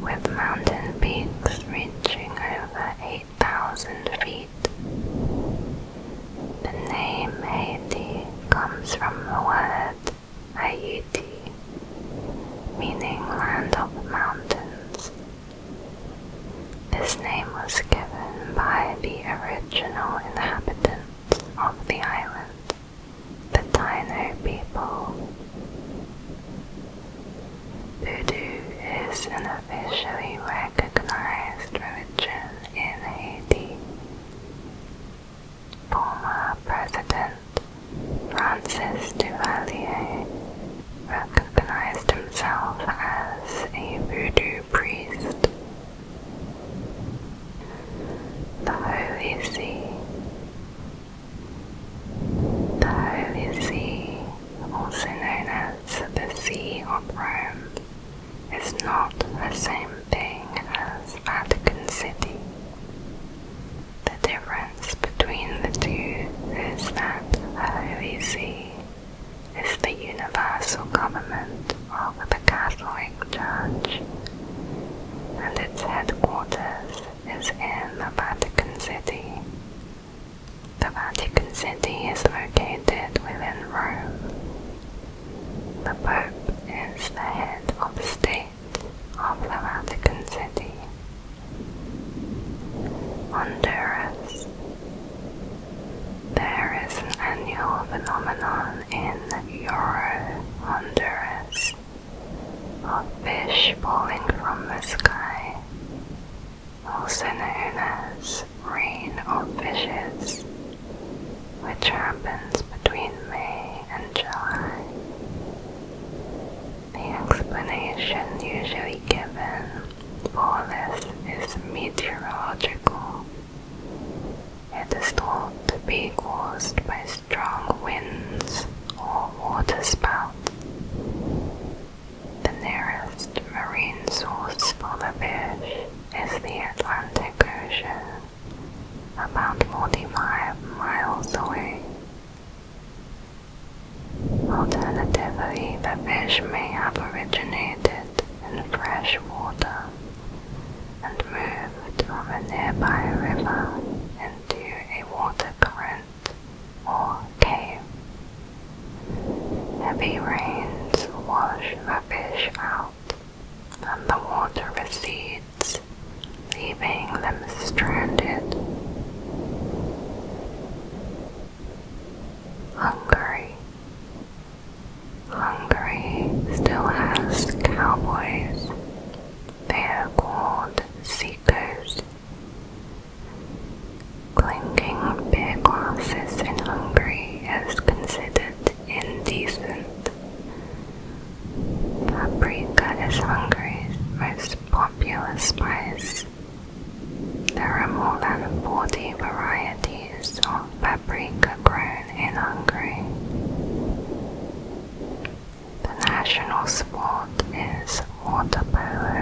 with mountain peaks reaching over 8,000 feet. The name Haiti comes from the word Haiti, meaning land of mountains. This name was given by the original inhabitants of the island. The Taino people. Voodoo is an officially recognized religion in Haiti. Former President Francis Duvalier recognized himself as a voodoo priest. The Holy See the Holy See, also known as the See of Rome, is not the same thing as Vatican City. The difference between the two is that the Holy See is the universal government of the Catholic Church, and its headquarters is in the Vatican City. The Vatican City is located within Rome. The Pope is the head of state of the Vatican City. Honduras. There is an annual phenomenon in Euro Honduras or fish falling from the sky, also known as rain or fishes, which happens between May and July. The explanation usually given for this is meteorological. It is thought to be caused by strong winds or waterspout. The nearest marine source for the fish is the Atlantic Ocean, about 45 miles away. Alternatively, the fish may have originated in fresh water and moved from a nearby river into a water current earth or cave. Heavy rains wash the fish out, and the water recedes, leaving them stranded. Hungary. Hungary still has cowboys. They are called sea seekers. Clinking beer glasses in Hungary is considered indecent. Paprika is Hungary's most popular spice. There are more than 40 varieties of paprika grown in Hungary. The national sport is water polo.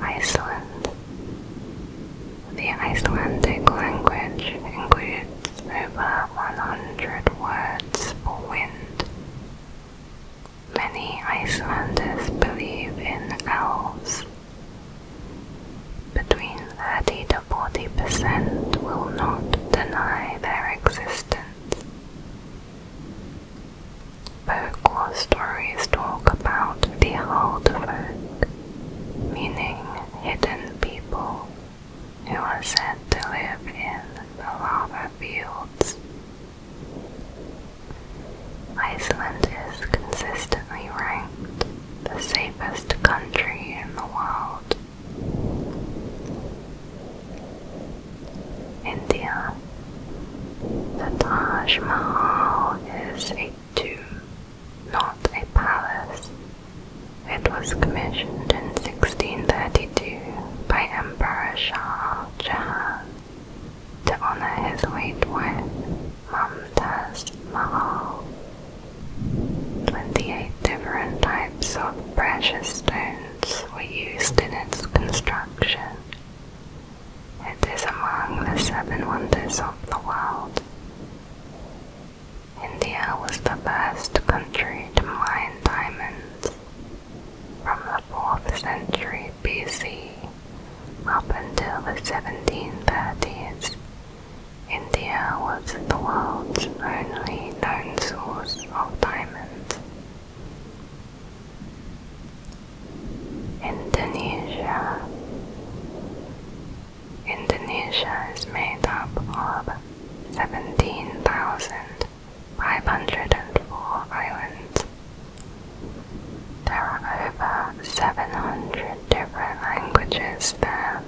Iceland. The Icelandic language includes over 100 words for wind. Many Icelanders believe in elves. Between 30 to 40% will not deny their existence. Folklore stories talk about the folk, meaning hidden people who are said to live in the lava fields. Iceland is consistently ranked the safest country in the world India. The Taj Mahal is a tomb, not a palace. It was commissioned in 1632 by Emperor Shah Jahan to honor his late wife, Mumtaz Mahal. Twenty-eight different types of precious stones were used in its construction. It is among the seven wonders of the world. India was the first country to mine diamonds from the 4th century BC up until the 1730s. India was the world's only known source of diamonds. Indonesia. Indonesia is made up of 17,504 islands. There are over 700 different languages there,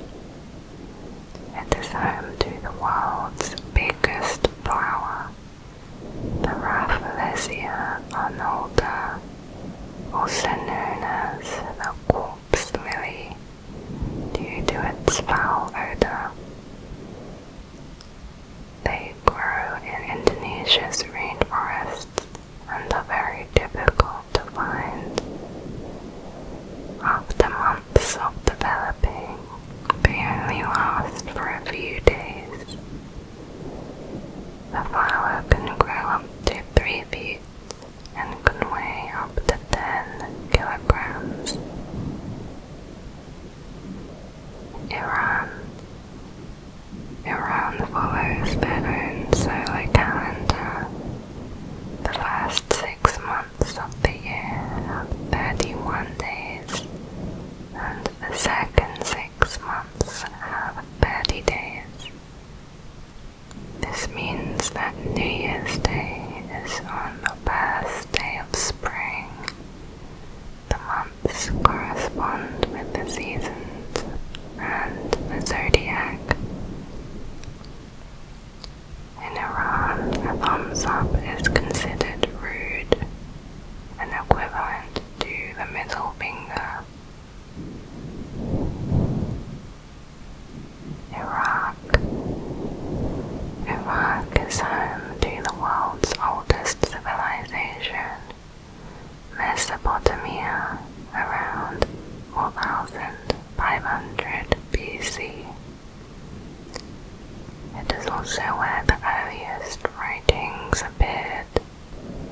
it is home to the world's biggest flower, the Rafflesia arnolda, also known as the corpse lily, due to its foul odor. They grow in Indonesia's rainforests and are very difficult to find. After not self-developing. They only last for a few days. The flower can grow up to 3 feet and can weigh up to 10 kilograms. Iran Iran follows their own solar calendar. The first six months of the year have 31 days, and the second six months have 30 days. This means that New Year's Day is on the first day of spring. The months correspond with the seasons and the zodiac. In Iran, a thumbs up is considered rude, an equivalent to the middle finger. Iraq. Iraq is home to the world's oldest civilization, Mesopotamia, around 4500 BC. It is also where the earliest writings appeared,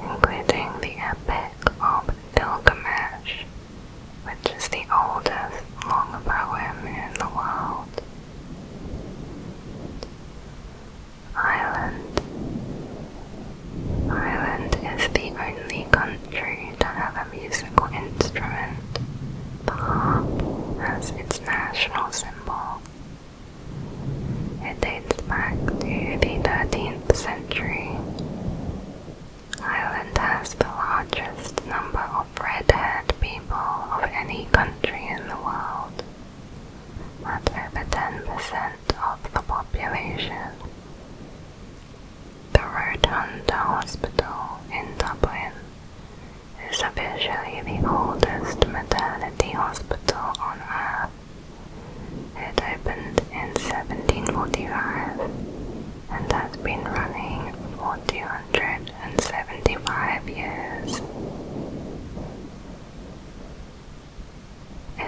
including the Epic of Gilgamesh, which is the oldest long poem in the world. Ireland. Ireland is the only country to have a musical instrument. The harp as its national symbol. It dates back to the 13th century. Ireland has the largest number of red-haired people of any country in the world, at over 10% of the population. The Rotunda Hospital in Dublin is officially the oldest maternity hospital on Earth. It opened in 1745 and has been running for 275 years.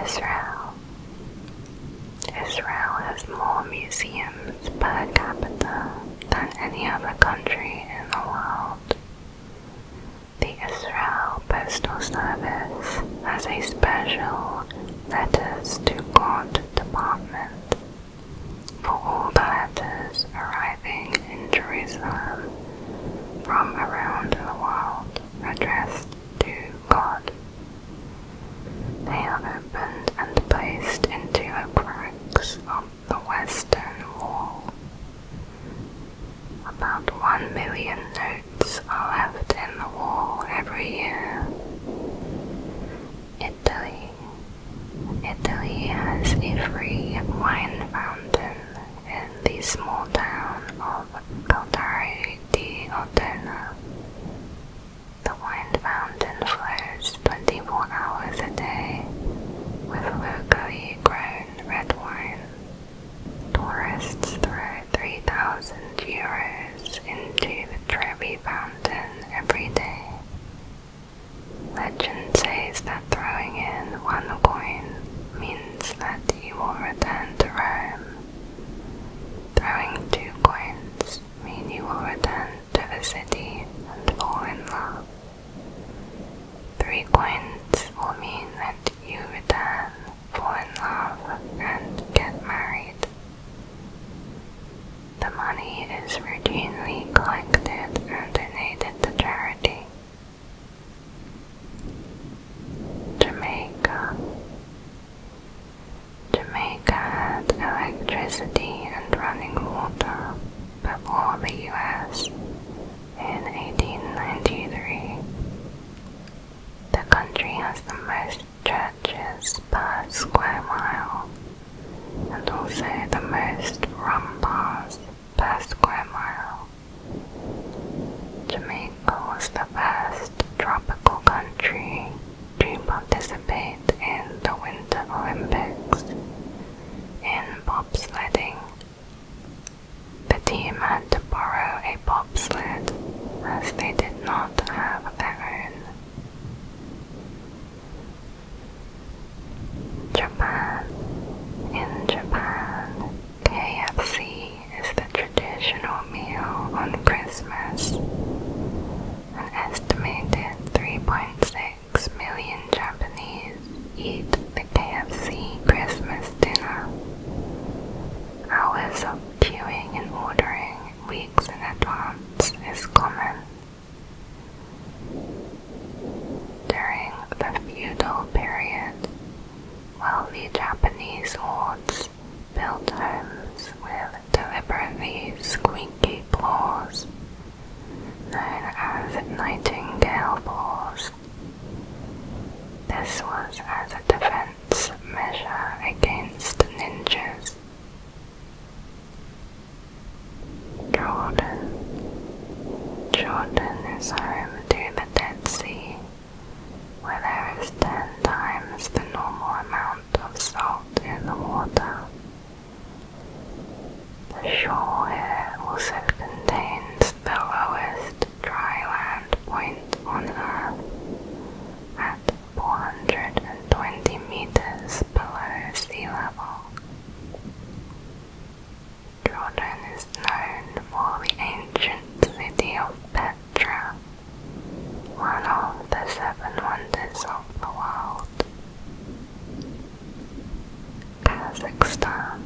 Israel. Israel has more museums per capita than any other country in the world. The Israel Postal Service has a special Letters to God department. For all letters arriving in Jerusalem from around the world addressed to God, they are opened and placed into the cracks the western wall. About one million notes are left in the wall every year. Italy. Italy has a free wine fountain in the small town of Caldari di Ottona. The wine fountain flows operates 24 hours a day with locally grown red wine. Tourists throw 3,000 euros into the Trevi Fountain every day. Legend says that throwing in one coin means that you will return to Rome. Throwing two coins mean you will return to the city and fall in love. Three coins will mean that you return, fall in love, and get married. The money is routinely collected and donated to charity. Jamaica Jamaica had electricity and running water, before the U.S. in 1893. The country has the most churches per square mile and also the most rum bars per square mile. Jamaica was the first tropical country to participate in the Winter Olympics in bobsledding. The team had to borrow a bobsled as they did not have their own. Japan. In Japan, KFC is the traditional meal on Christmas. An estimated 3.6 6 million Japanese eat the KFC Christmas dinner. Hours of queuing and ordering weeks in advance is common. During the feudal period, wealthy Japanese lords built homes with deliberately squeaky floors known as Nightingale Balls. This was as a defense measure against ninjas. Jordan. Jordan is home to the Dead Sea, where there is ten times the normal amount of salt in the water the shore here also contains the lowest dry land point on Earth at 420 meters below sea level. Jordan is known for the ancient city of Petra, one of the seven wonders of the world. Kazakhstan.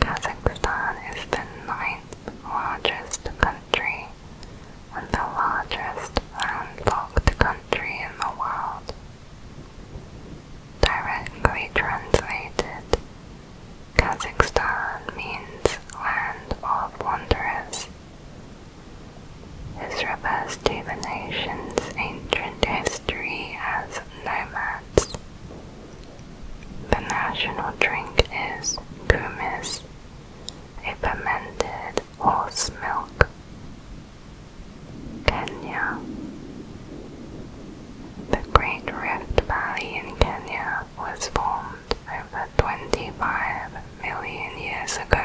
Kazakhstan is the ninth largest country and the largest landlocked country in the world. Directly translated, Kazakhstan means land of wanderers. Its the nation's ancient history as nomads. The national drink is kumis, a fermented horse milk. Kenya. The Great Rift Valley in Kenya was formed over 25 million years ago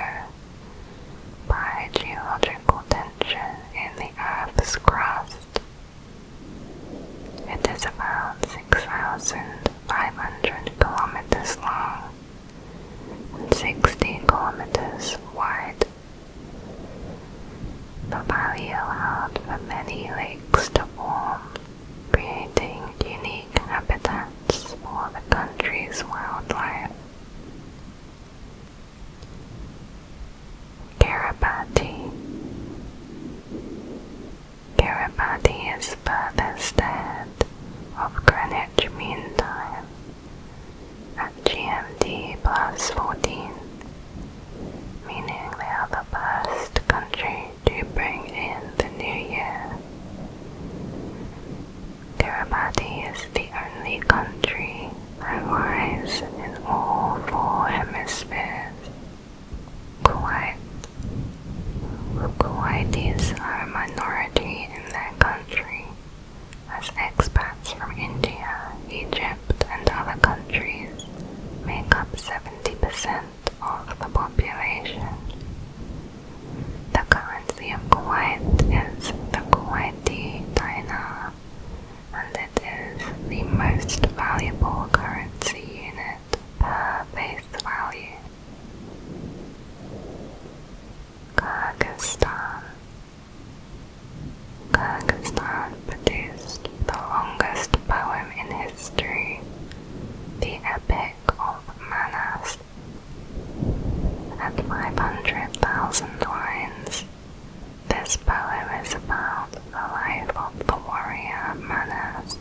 by geological tension in the Earth's crust. It is about 6,500 kilometers long and 60 kilometers wide. The valley allowed for many lakes to form, creating unique habitats for the country's wildlife. Kiribati. Kiribati is furthest ahead of Greenwich Mean Time at GMT plus 14, meaning they are the first country to bring in the new year. Kiribati is the only country is in all four hemispheres. Kuwait. Kuwaitis are a minority in their country, as expats from India, Egypt, and other countries make up 70% of the population. The currency of Kuwait is the Kuwaiti dinar, and it is the most valuable currency unit per face value. Kyrgyzstan Kyrgyzstan produced the longest poem in history, the Epic of Manas. At 500,000 lines, this poem is about the life of the warrior Manas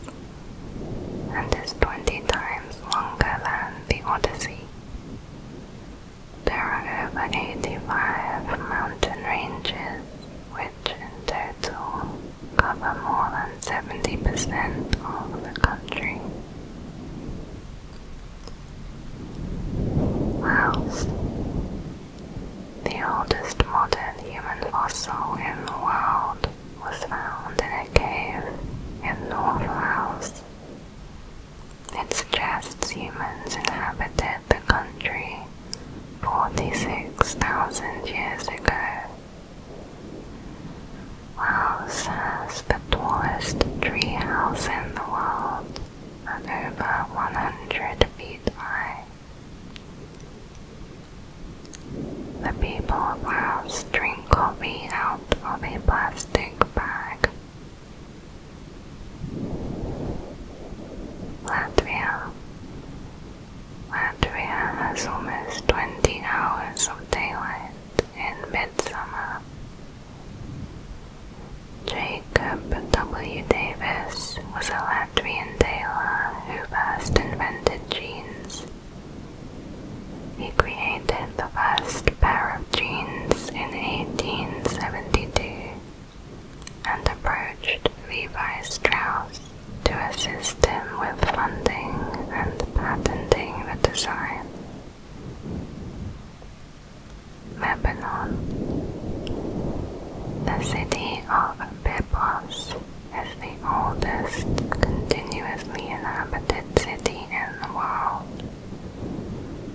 and is 20 times longer than the Odyssey. There are over 85 mountain ranges which in total cover more than 70% of the country. Mouse. The oldest modern human fossil in the world was found in a cave in North Wales. It suggests humans inhabited the country 46,000 years ago. Wales has the tallest tree house in the world and over 100 feet high. The people of Laos drink coffee out of a plastic bag. Latvia. Latvia has almost 20 hours of daylight in midsummer Jacob W. Davis was a Latvian tailor who first invented jeans. He created the first pair of jeans in 1872 and approached Levi Strauss to assist him with funding and patenting the design. Lebanon. The city of Byblos is the oldest continuously inhabited city in the world.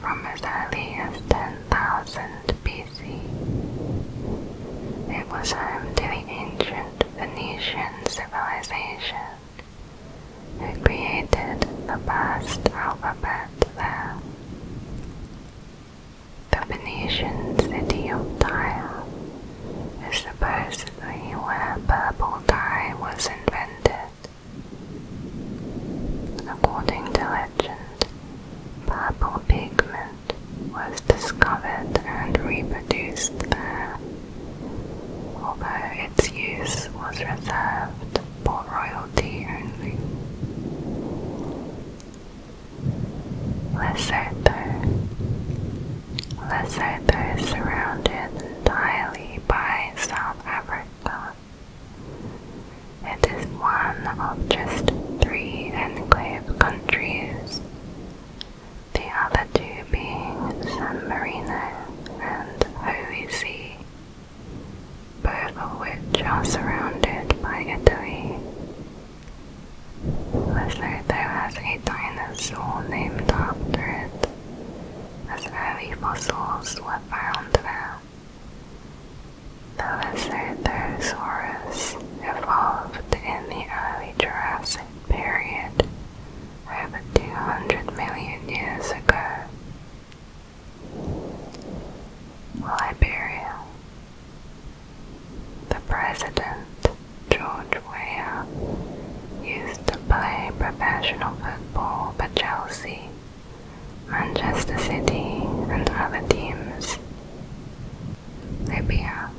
From as early as 10,000 BC, it was home to the ancient Phoenician civilization, who created the first alphabet there. The Venetian city of Tyre is supposed to be where purple dye was invented. According to legend, purple pigment was discovered and reproduced there, although its use was reserved but royalty only. Lesotho. Lesotho is surrounded entirely by South Africa. It is one of just three enclave countries, the other two being San Marino and Holy both of which are surrounded by a Italy. Lesotho has a dinosaur named after it, as early fossils were found there. The Lesothosaurus evolved in the early Jurassic period about 200 million years ago. Liberia. The president, George Weah, used to play professional football for Chelsea, Manchester City, and other teams. Libya.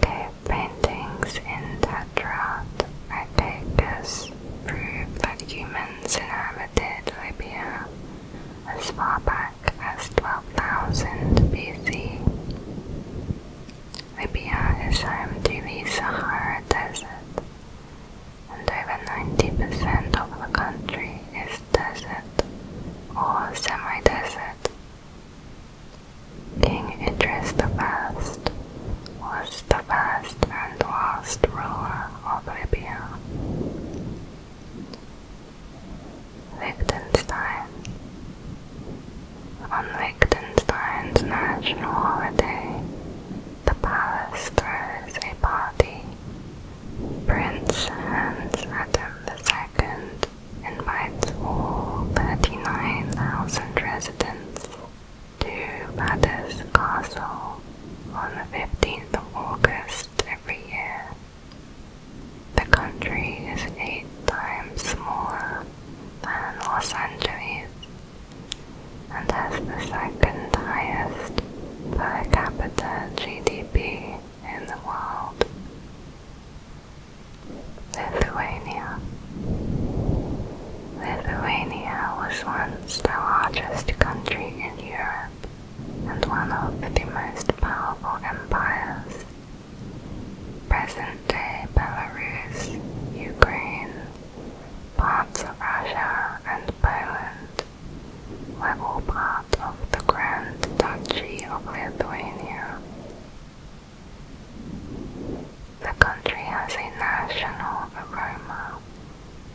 Cave paintings in Tetrad prove that humans inhabit inhabited Libya as far back as 12,000 BC. Libya is home to the Sahara Desert, and over 90% of the country is desert or semi-desert. King Idris I was the first and last ruler Oblivion. Liechtenstein. On Liechtenstein's national holiday, the palace throws a party. Prince Hans Adam II invites all 39,000 residents to Badders Castle on the 15th of August every year, the country is eight times smaller than Los Angeles and has the second highest per capita GDP in the world. Lithuania. Lithuania was once the largest country in Europe and one of the most powerful empires. Present-day Belarus, Ukraine, parts of Russia and Poland were all part of the Grand Duchy of Lithuania. The country has a national aroma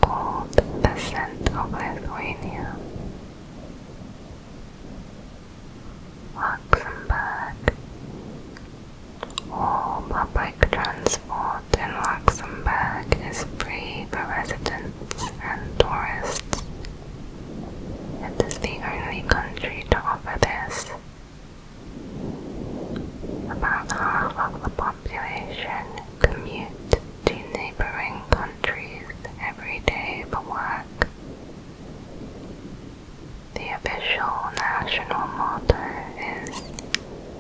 called the Scent of Lithuania. Luxembourg. All public transport in Luxembourg is free for residents and tourists. It is the only country to offer this. About half of the population commute to neighboring countries every day for work. The official national motto is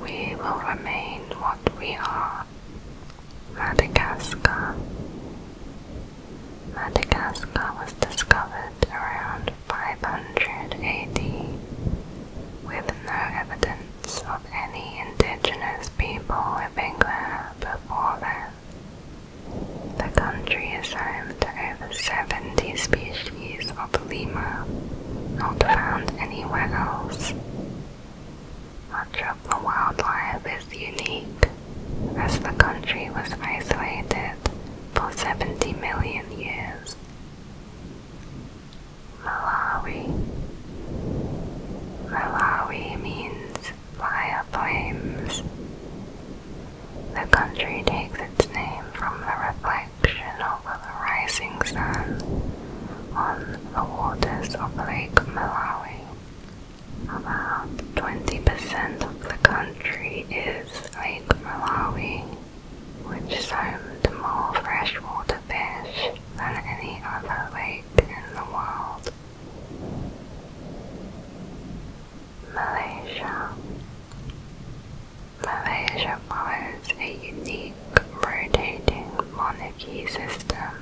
We will remain what we are. Madagascar. Madagascar was discovered around 500 AD with no evidence of any indigenous people living there before them. The country is home to over 70 species of lemur, not found anywhere else. Much of the wildlife is unique, as the country was isolated for 70 million years. Malawi. Malawi means fire flames. The country takes its name from the reflection of the rising sun on the waters of Lake Malawi. About 20% of the country is Lake Malawi, which is home to more freshwater fish than any other lake in the world. Malaysia. Malaysia follows a unique rotating monarchy system.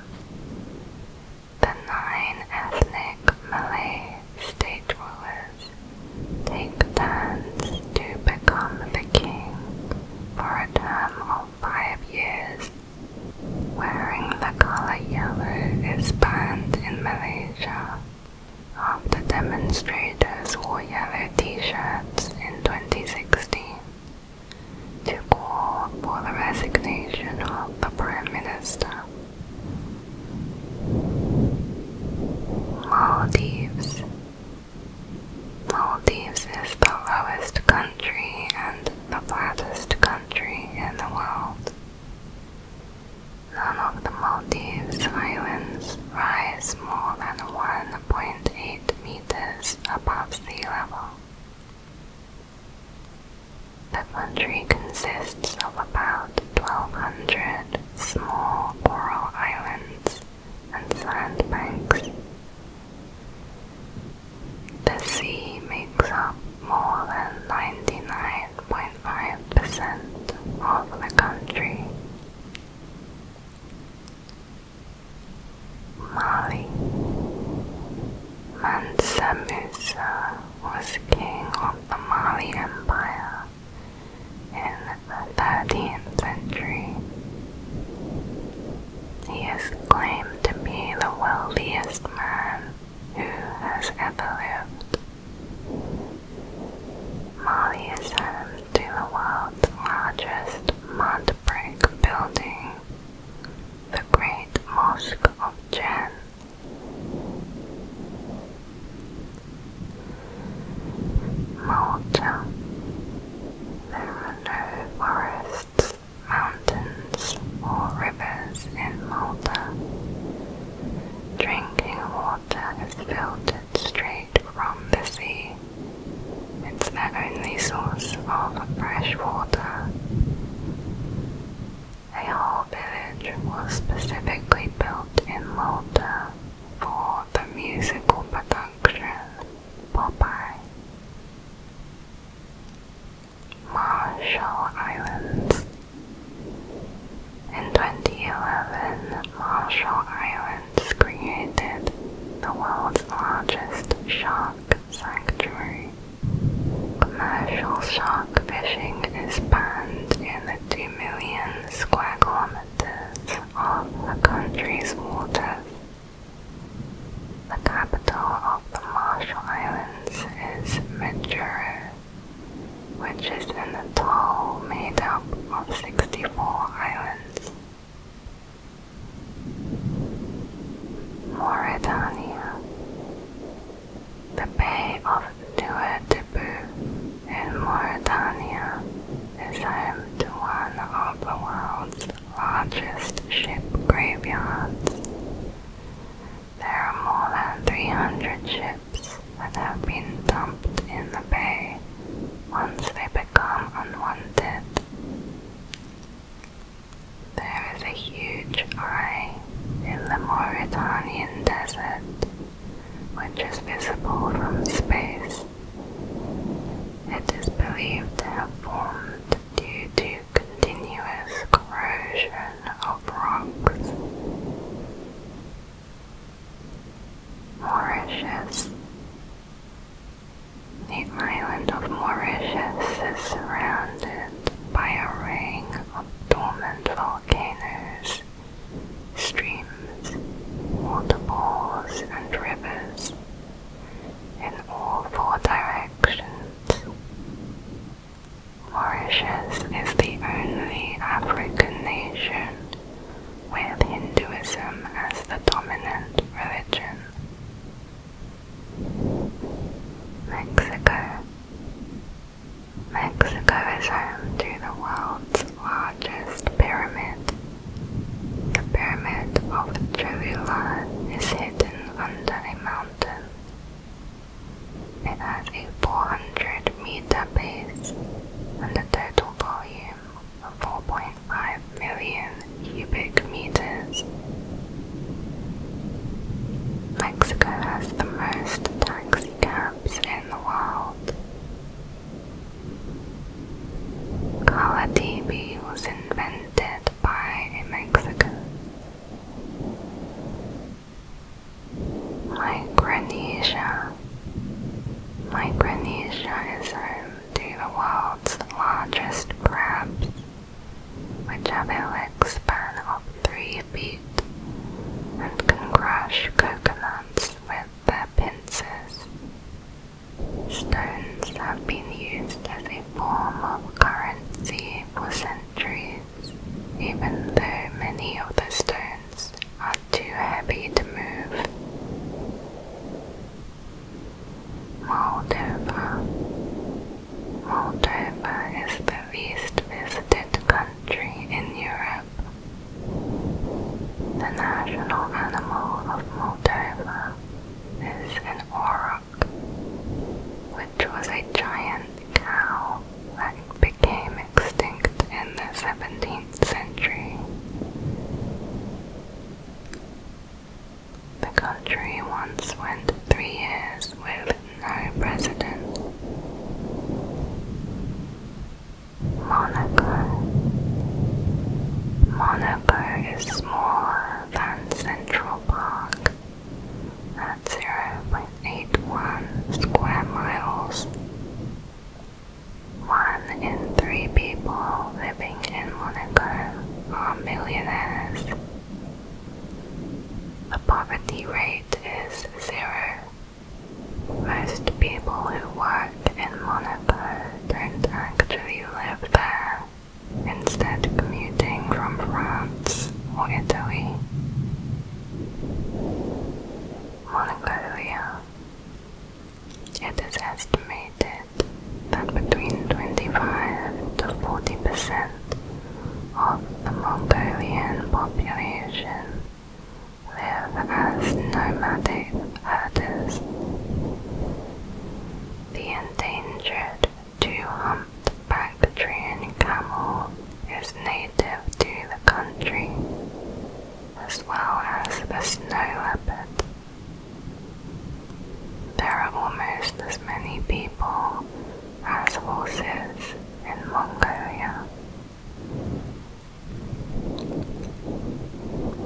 The nine ethnic Malay state rulers take turns to become the king for a term of five years Wearing the color yellow is banned in Malaysia after um, demonstrators wore yellow t-shirts in 2016 to call for the resignation of the Prime Minister. Maldives Maldives is the lowest country and the flattest country in the world. None of the Maldives Islands rise more than 1.8 meters above sea level. The country consists of about 1,200 small coral islands and sandbanks. The sea makes up more than 99.5% of the country. Mali Mansa Musa was king of the Mali Empire in the 13th century. He is claimed to be the wealthiest man who has ever lived. Mali is home to the world's largest mud brick building, the Great Mosque of Jen. Malta. There are no forests mountains, or rivers in Malta. Drinking water is filtered straight from the sea. It's their only source of fresh water. A whole village was specifically built in Malta for the musical production Popeye. Marshall Islands. In 2011, Marshall Islands created the world's largest shark sanctuary. Commercial shark fishing is banned in the 2 million square kilometers of the country's waters. The capital of the Marshall Islands is Majuro, which is an atoll made up of 64 islands. Mauritania The Bay of Ouagadougou in Mauritania is home to one of the world's largest ship graveyards. There are more than 300 ships that have been dumped in the bay once they become unwanted. There is a huge eye in the Mauritanian desert which is visible from space. It is believed to have formed due to continuous corrosion of rocks. Mauritius. The island of Mauritius is surrounded by a ring of dormant volcanoes, streams, waterfalls, and rivers in all four directions directions. is the only African nation with Hinduism as the dominant religion. Mexico. Mexico is home to the world's largest pyramid. The Pyramid of Cholula is hidden under a mountain. It has a 400 meter base and a total volume of 4.5 million cubic meters. Mexico has the most taxi cabs in the world. Color was invented by a Mexican my Micronesia is home to the world's largest crabs, which have a leg span of three feet and can crush coconuts with their pincers. Stones have been used as a form of currency for centuries, even though many of the stones are too heavy to move. Moldova. Moldova is the least visited country in Europe. The national animal of Moldova is an orangutan which was a giant cow that became extinct in the 17th century. The country once went three years with no president. Monaco. Monaco is smaller than Central Park at 0.81 square miles. One in three people living in Monaco are millionaires. The poverty rate is zero. Most people who work in Monaco don't actually live there instead commuting from France or Italy. Mongolia. It is estimated that between 25 to 40 percent of the Mongolian population live as nomadic herders. The endangered two-humped-backed Trojan camel is native to the country, as well as the snow leopard. There are almost as many people as horses in Mongolia.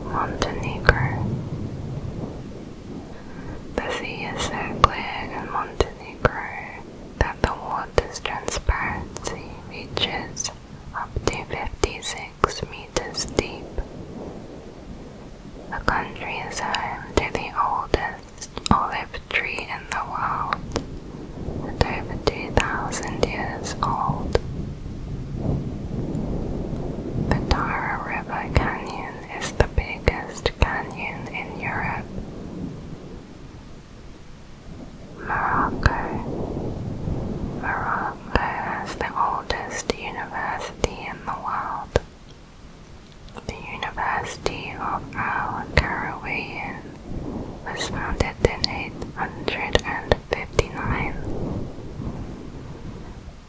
Montenegro the sea is so clear in Montenegro that the water's transparency reaches up to 56 meters deep. The country is home to the oldest olive tree in the world, at over 2,000 years old. The Tara River Canyon is the biggest canyon in Europe. Morocco. Morocco has the oldest university in the world. The University of Al-Qarawiyyin was founded in 859.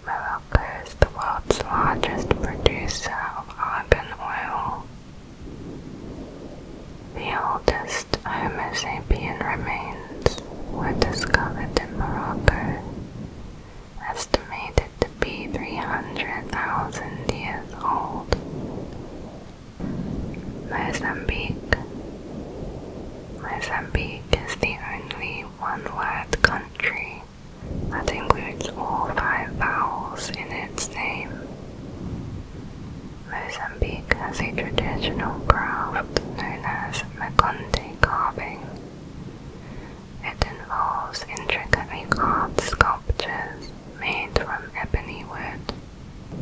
Morocco is the world's largest producer of oil. The oldest Homo sapien remains were discovered in Morocco, estimated to be 300,000 years old. Mozambique. Mozambique is the only one-word country that includes all five vowels in its name. Mozambique has a traditional craft known as Makonde carving. It involves intricately carved sculptures made from ebony wood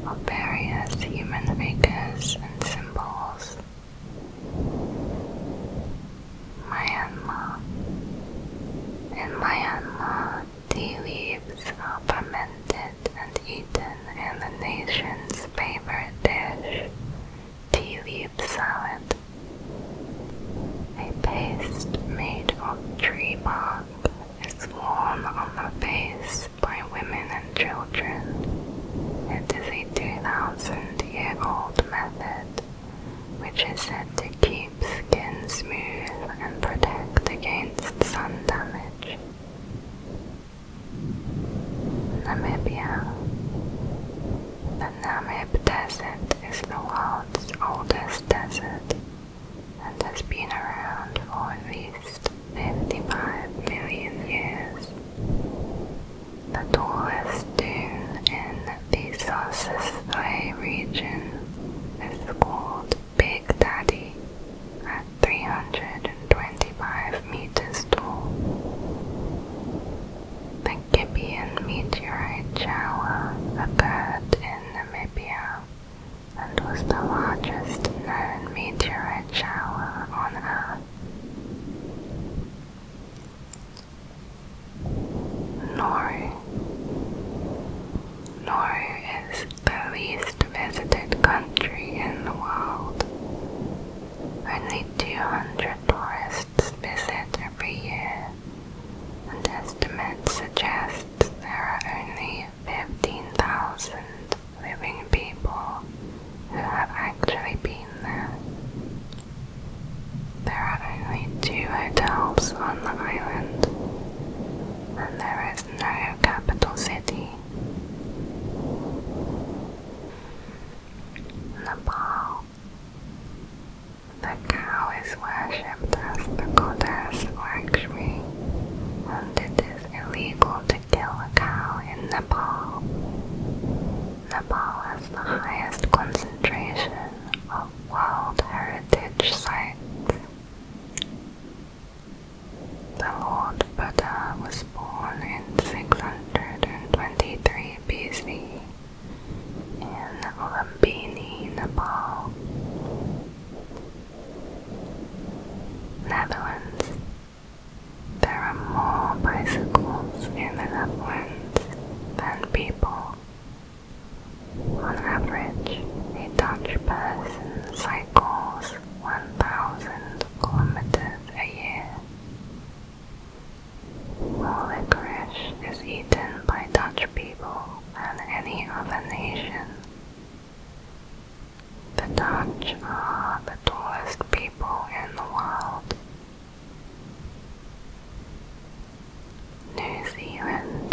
of various human figures and symbols. Myanmar. In Myanmar, tea leaves are fermented and eaten in the nation's favorite dish, tea leaf salad. A paste made of tree bark is worn on the face by women and children. It is a 2,000 year old method which is said to keep skin smooth and protect against sun damage. Namibia. The Namib Desert is the world's oldest desert and has been around for at least 55 million years. The tallest dune in Bezos' Soy region is called Big Daddy at 325 meters tall. The Gibeon meteorite shower occurred in Namibia and was the largest known meteorite shower on Earth. Nauru. Nauru is the least visited country in the world. Only 200 tourists visit every year, and estimates suggest there are only 15,000 living people who have actually been there. There are only two hotels on the island, and there is no capital city. Nepal. The cow is worshipped as the goddess Lakshmi, and it is illegal to kill a cow in Nepal. Nepal has the highest concentration of World Heritage Site. The Lord Buddha was born in 623 BC in Lumbini, Nepal. Netherlands. There are more bicycles in the Netherlands than people. On average, a Dutch person cycles 1,000 kilometers a year. More licorice is eaten by Dutch people than any other nation. The Dutch are the tallest people in the world. New Zealand.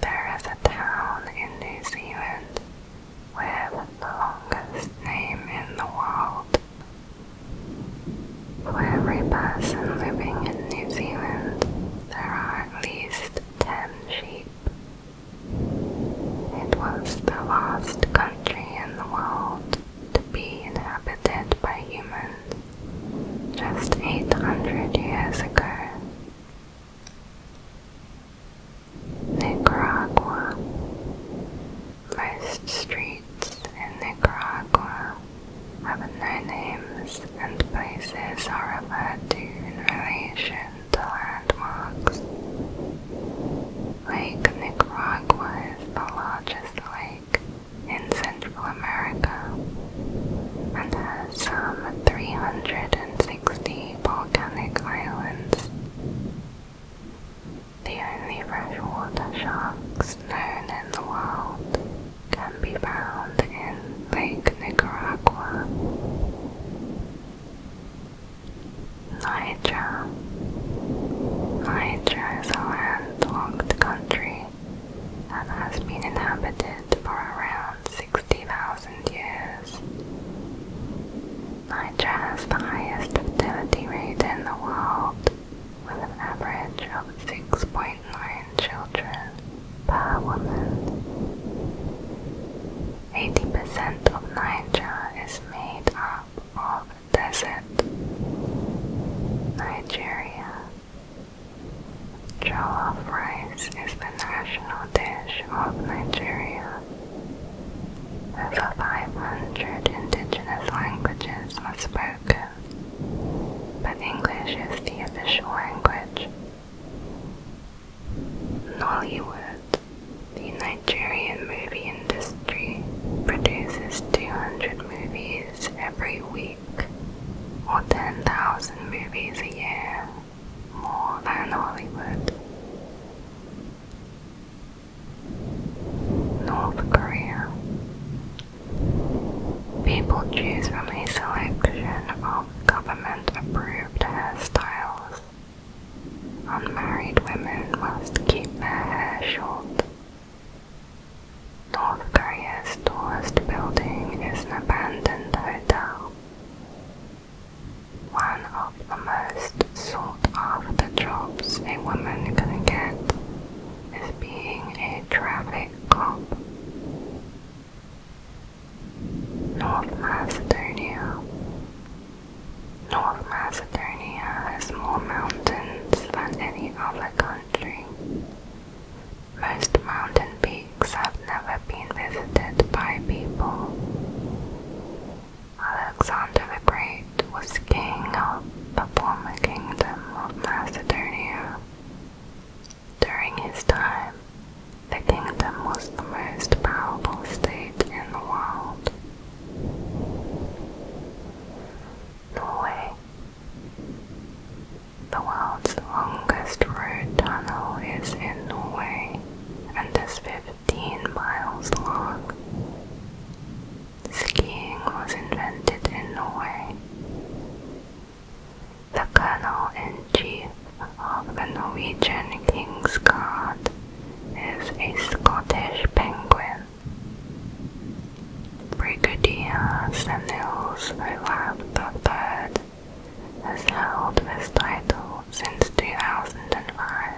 There is a town in New Zealand with the longest name in the world. For every person living in New Zealand, there are at least 10 sheep. It was the last country in the world to be inhabited by humans just 800 years ago. Nicaragua. Most streets in Nicaragua have no names and places are referred to in relation to landmarks. Lake Nicaragua is the largest lake in Central America and has some 360 volcanic islands. The only freshwater sharks known in the world can be found in Lake Nicaragua. Niger. Niger is a landlocked country country and has been inhabited for around 60,000 years. Nigeria has the highest fertility rate in the world, with an average of 6.9 children per woman. 80% of Nigeria is made up of desert. Nigeria Jollof rice is the national dish of Nigeria. Over 500 indigenous languages are spoken, but English is the official language. Nollywood, the Nigerian movie industry, produces 200 movies every week week, or 10,000 movies a year, more than Hollywood. North Korea. People choose from a selection of government approved hairstyles. Unmarried women must keep their hair short, North Korea's tallest building is an abandoned hotel. One of the most sought-after jobs a woman can get is being a traffic cop. North Macedonia. North Macedonia has more mountains than any other country, most mountain peaks have never been visited by people. Alexander the Great was king of the former kingdom of Macedonia. During his time, the kingdom was the most powerful state in the world. Norway the world's longest road tunnel is in Norway and is 15 miles long. Skiing was invented in Norway. The colonel-in-chief of the Norwegian King's Guard is a Scottish penguin. Brigadier Samuels Olaf III has held this title since 2005.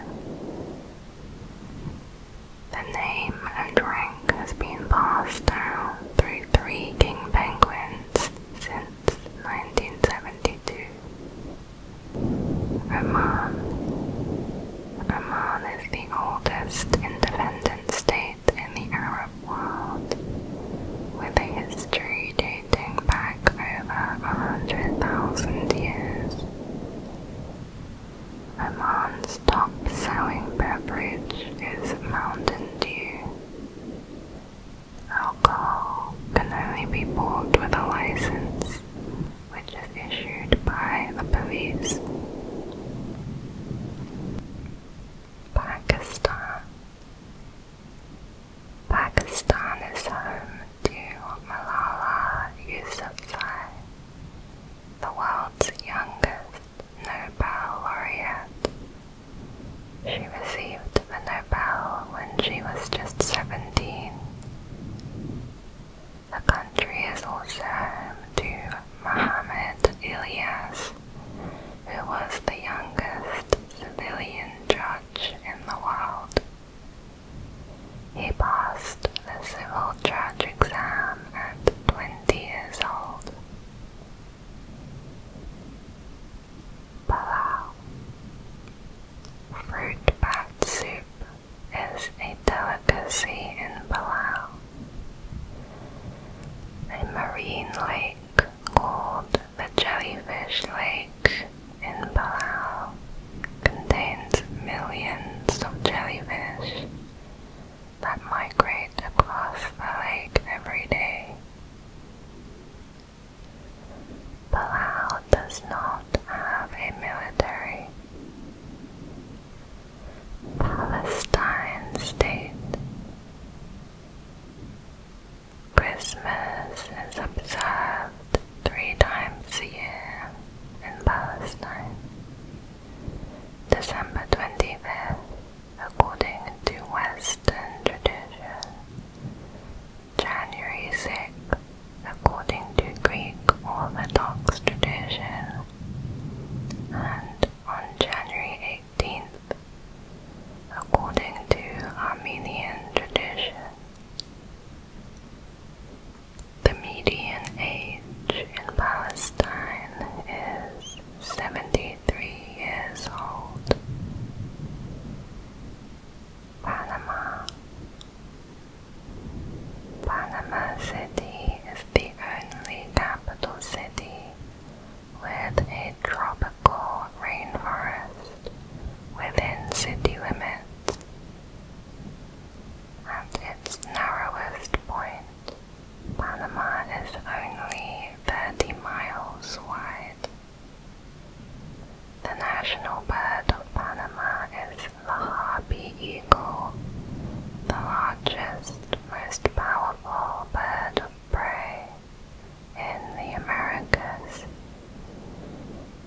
The name and rank has been passed down through three king penguins since 1972. Oman. Oman is the oldest independent state in the Arab world, with a history dating back over 100,000 years. Oman's top-selling beverage is Mountain Dew. Alcohol can only be bought with a license, which is issued by the police. Pakistan Pakistan is home to Malala Yousafzai, the world's youngest Nobel laureate. She received the Nobel when she was just 17. The country is also home to Muhammad Ilyas, who was the youngest civilian judge in the world. He passed the civil judge exam at 20 years old. Palau Fruit bat soup is a delicacy in Palau. A marine lake called the Jellyfish Lake in Palau contains millions of jellyfish that migrate across the lake every day. Palau does not have a military. Palestine State Christmas is observed three times a year in Palestine. December 25th, according to Western tradition. January 6th, according to Greek Orthodox tradition on January 18th, according to Armenian tradition. The median age in Palestine is 73 years old. Panama Panama City is the only capital city with a tropical rainforest within city limits. At its narrowest point, Panama is only 30 miles wide. The national bird of Panama is the harpy eagle, the largest, most powerful bird of prey in the Americas.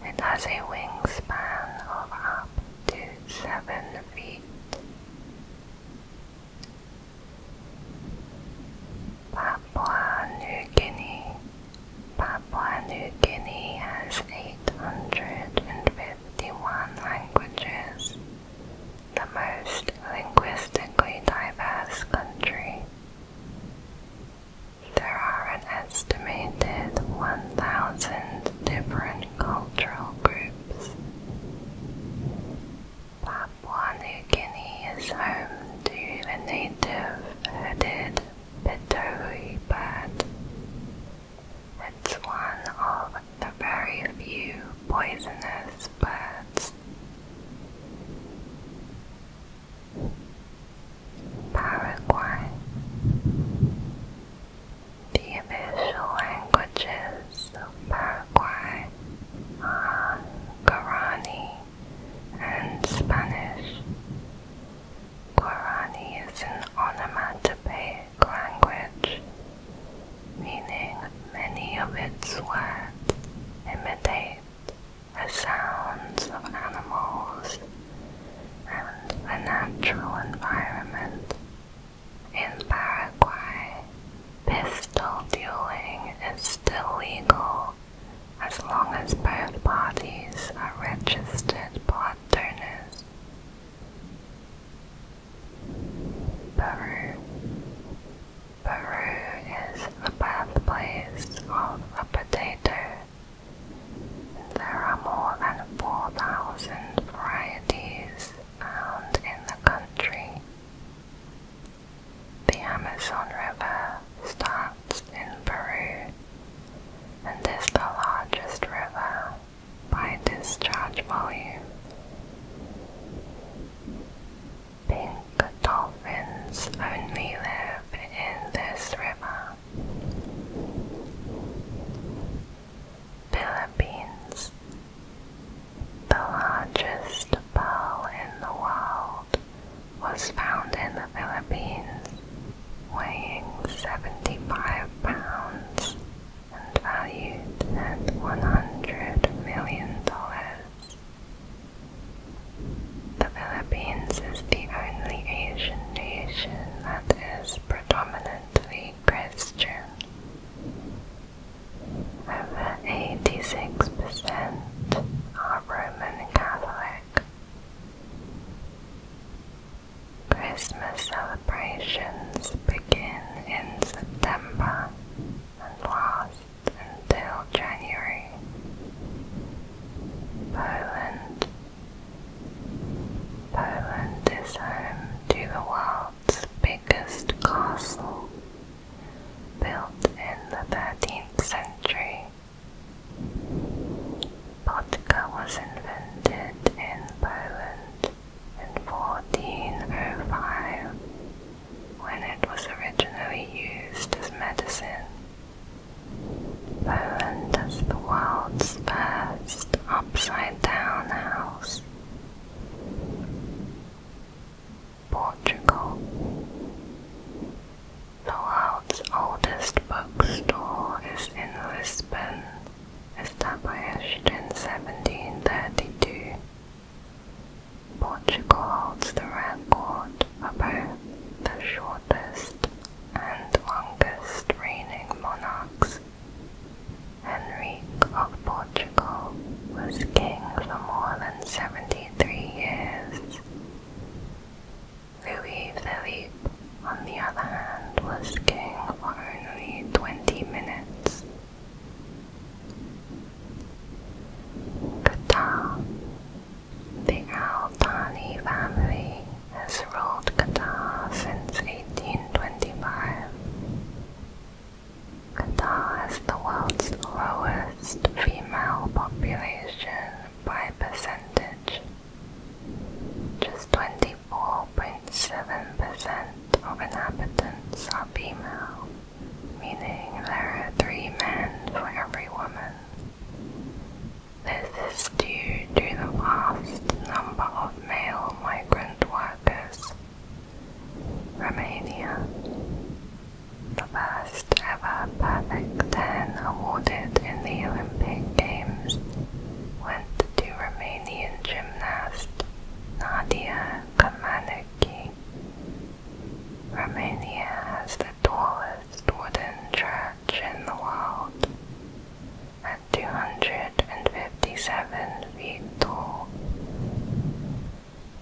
It has a wingspan of up to 7 feet. Papua New Guinea. Papua New Guinea has 851 languages the most linguistically diverse country. There are an estimated 1,000 different cultural groups. Papua New Guinea is home to the native hooded Pitohui bird. It's one of the very few poisonous Paraguay. The official languages of Paraguay are Guarani and Spanish. Guarani is an onomatopoeic language, meaning many of its words imitate the sounds of animals, and the natural environment. In Paraguay, pistol dueling is still legal as long as both parties are registered blood donors. Peru Peru is the birthplace of the potato. There are more than 4,000 varieties found in the country. The Amazon River starts in Peru and is the largest river by discharge volume. Pink dolphins only live in this river. Philippines, the largest pearl in the world, was found in the Philippines, weighing 75 pounds and valued at $100 million. The Philippines is the only Asian nation that is predominantly Christian. Over 86% are Roman Catholic. Christmas celebrations begin in September and last until January. Poland. Poland is home to the world's biggest castle, built in the 13th century. Vodka was invented in Poland in 1405 when it was originally used as medicine. Poland is the world's first upside-down house. Portugal. The world's oldest bookstore is in Lisbon, established in 1732. Portugal holds the record for the shortest and longest reigning monarchs. Henry of Portugal was king for more than 73 years. Louis Philippe, on the other hand, was king for only 20 minutes. Qatar The Al Thani family has ruled Qatar since 1825. Qatar has the world's lowest female population by percentage. Just 24.7% of inhabitants are female meaning there are three men for every woman. This is due to the vast number of male migrant workers. Romania, the first ever perfect ten awarded in the Olympic Games, went to Romanian gymnast Nadia Comaneci Romania has the tallest wooden church in the world, at 257 feet tall.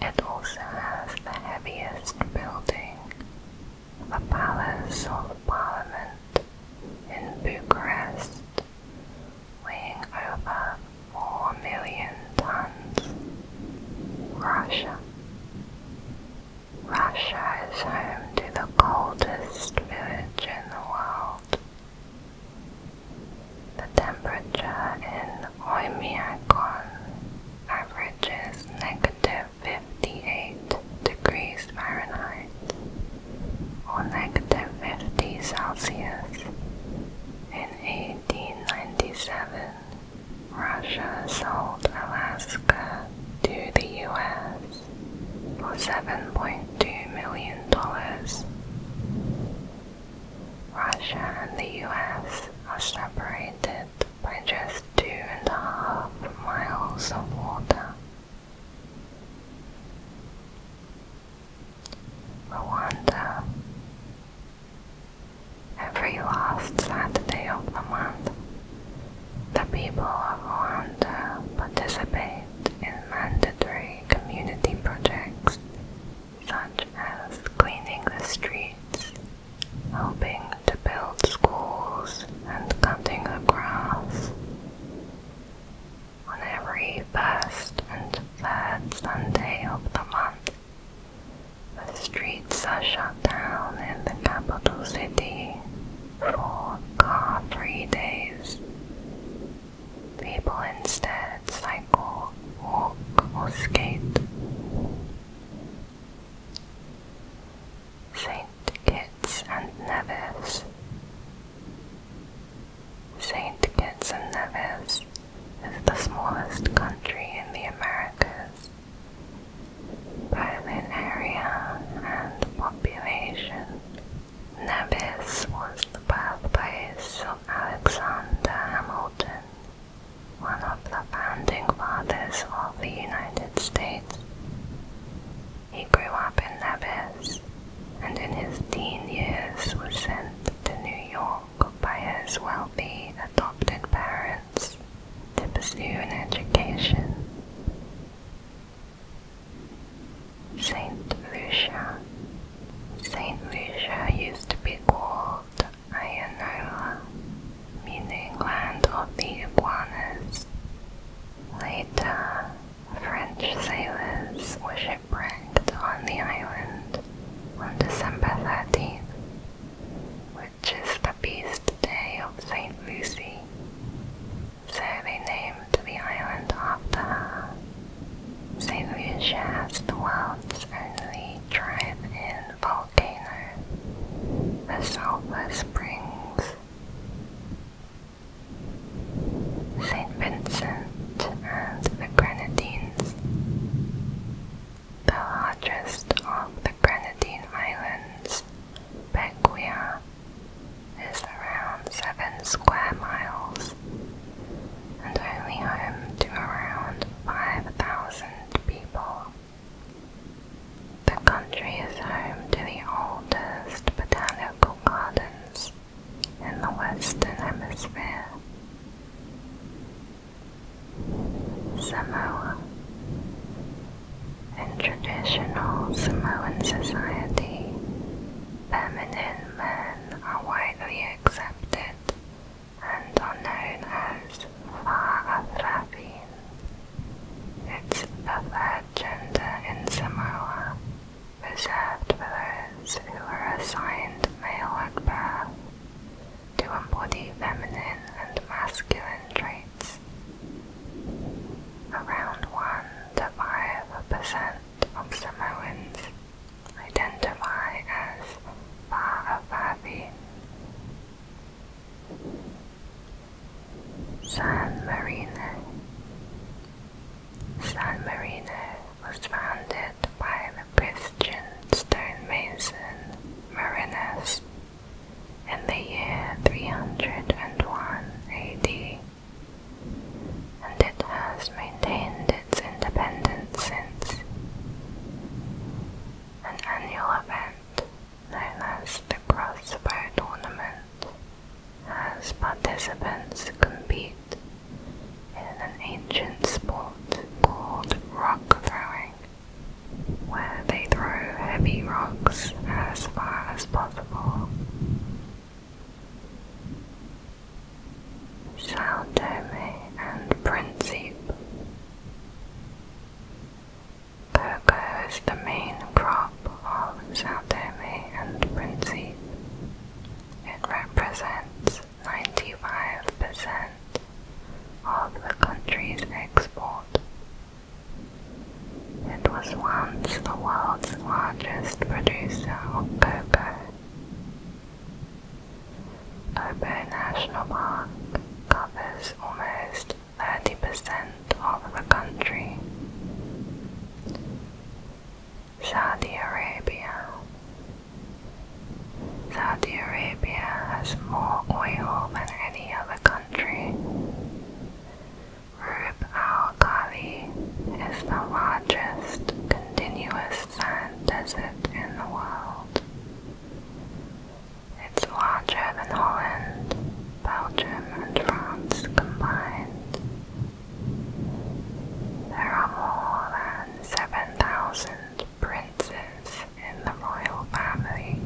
It also has the heaviest building, the Palace of Parliament in Bucharest, weighing over 4 million tons. Russia. Russia is home to the coldest village in the world. The temperature in Oymyakon averages negative 58 degrees Fahrenheit or negative 50 Celsius. In 1897, Russia sold Alaska to the U.S. for $7.2 million. Russia and the U.S. are separated by just two and a half miles of water. Rwanda Every last Saturday of the month, the people of Rwanda participate in mandatory community projects such as cleaning the streets, helping to build schools, and cutting the grass. On every first and third Sunday of the month, the streets are shut down in the capital city for car-free days. People instead cycle, walk, or skate. St. Kitts and Nevis. St. Kitts and Nevis is the smallest country in the Americas both in area and population, Nevis was the birthplace of Alexander Hamilton, one of the founding fathers of the United States. He grew up in Nevis and in his teen years was sent to New York by his wealthy adopted parents to pursue an education. Saint Lucia. Saint Lucia used to be called Ianola, meaning land of the iguanas. Later, French sailors were shipwrecked on the island on December 13th, just is the feast day of St. Lucy, so they named the island after her. St. Lucia has the world's only drive-in volcano, the Sulphur Springs. St. Vincent and the Grenadines the largest of the Grenadine Islands, Beguia, is around 7 square miles and only home to around 5,000 people. The country is home to the oldest botanical gardens in the Western Hemisphere. Samoa. In traditional Samoan society, feminine men are widely accepted and are known as Fa'afafin. It's a third gender in Samoa, reserved for those who were assigned male at birth to embody feminine and masculine traits. Around 1 to 5% of Samoans identify as Fa'afafi. San Marino San Marino was founded by the Christian stonemason Marinus in the year 301 AD, and it has maintained its independence since. An annual event known as the Crossbow Tournament has participants compete in an ancient sport called rock throwing where they throw heavy rocks as far as possible. Sao Tome and Principe. Cocoa is the main crop of Sao Tome and Principe. It represents 95% of the country's export. It was once the world's largest producer of cocoa. Obo National Park covers almost 30% of the country. Saudi Arabia Saudi Arabia has more oil than any other the country. Rub al Khali is the largest continuous sand desert in the world. It's larger than Holland, Belgium, and France combined. There are more than 7,000 princes in the royal family,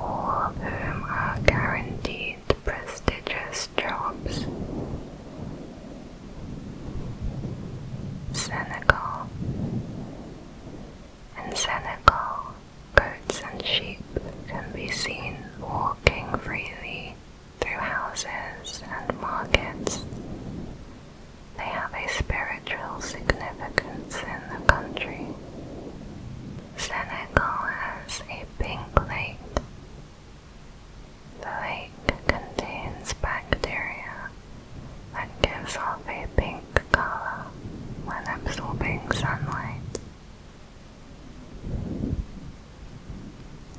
all of whom are guaranteed prestigious jobs. Senegal. In Senegal, goats and sheep can be seen walking freely through houses and markets. They have a spiritual significance in the country. Senegal has a pink lake. The lake contains bacteria that gives off a pink color when absorbing sunlight.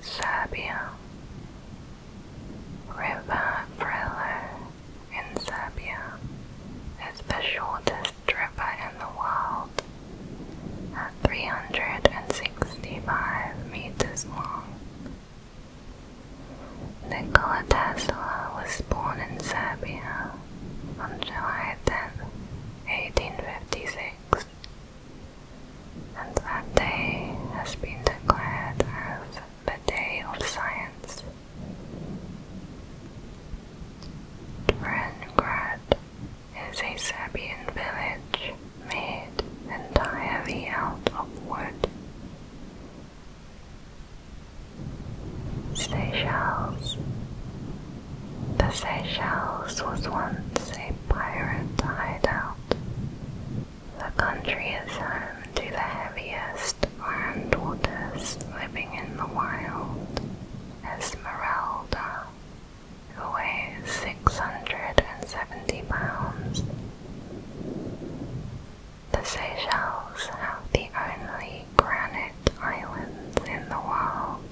Serbia River Frelo in Serbia is the shortest river in the world at 365 meters long. Nikola Tesla was born in Serbia on July 10, 1856, and that day has been declared as the Day of Science. Drengrad is a Serbian village made entirely out of wood. Seychelles. The Seychelles was once a pirate hideout. The country is home to the heaviest land tortoise living in the wild, Esmeralda, who weighs 670 pounds. The Seychelles have the only granite islands in the world.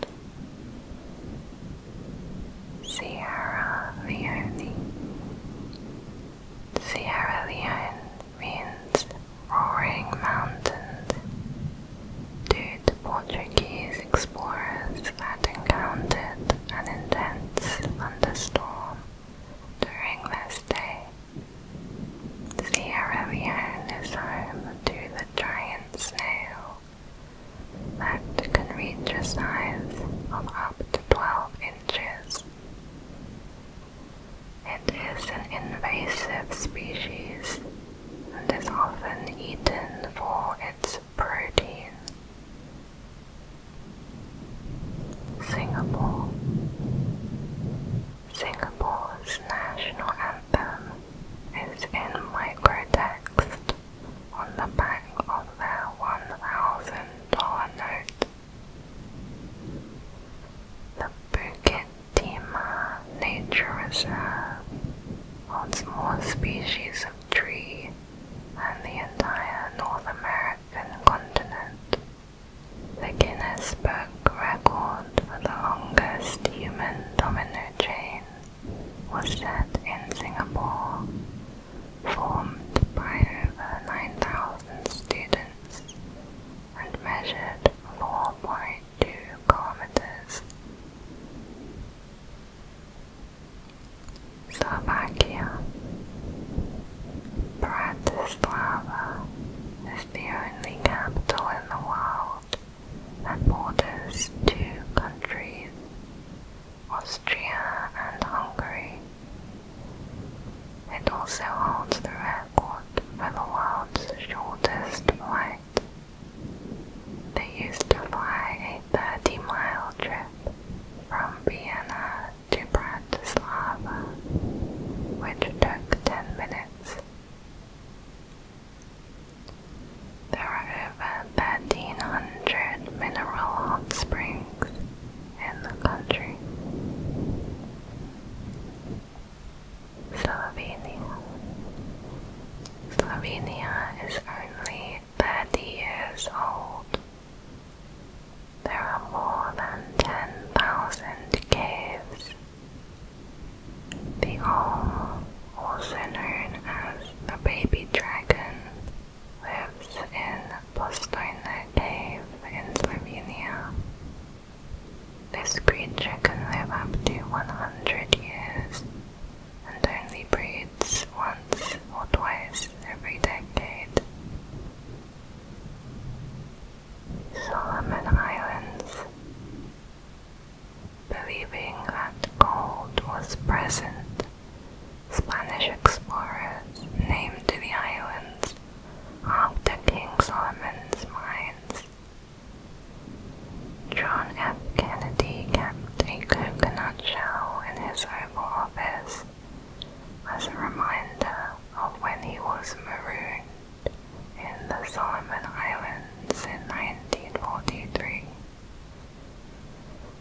Sierra Leone Sierra Leone means roaring mountains. Two Portuguese explorers had encountered an intense thunderstorm during their stay. Sierra Leone is home to the giant snail that can reach a size of up to 12 inches. It is an invasive species and is often eaten for its protein. Singapore Singapore's national anthem is in microtext on the back of their $1,000 note. The Bukit Tima Nature Reserve holds species of tree than the entire North American continent. The Guinness Book record for the longest human domino chain was set in Singapore, formed by over 9,000 students and measured 4.8 kilometers. Slovakia Bratislava is the only capital in the world that borders two countries, Austria and Hungary. It also holds the for the world's shortest flight. They used to fly a 30 mile trip from Vienna to Bratislava, which took 10 minutes. There are over 1300 mineral hot springs in the country. Slovenia. Slovenia is only 30 years old. There are more than 10,000 caves. The Olm, also known as the baby dragon, lives in the Postojna Cave in Slovenia. This creature can live up to 100 years and only breeds once or twice every decade. Solomon Islands Believing that gold was present, Spanish explorers named the islands after King Solomon's mines John F. Kennedy kept a coconut shell in his Oval Office as a reminder of when he was marooned in the Solomon Islands in 1943.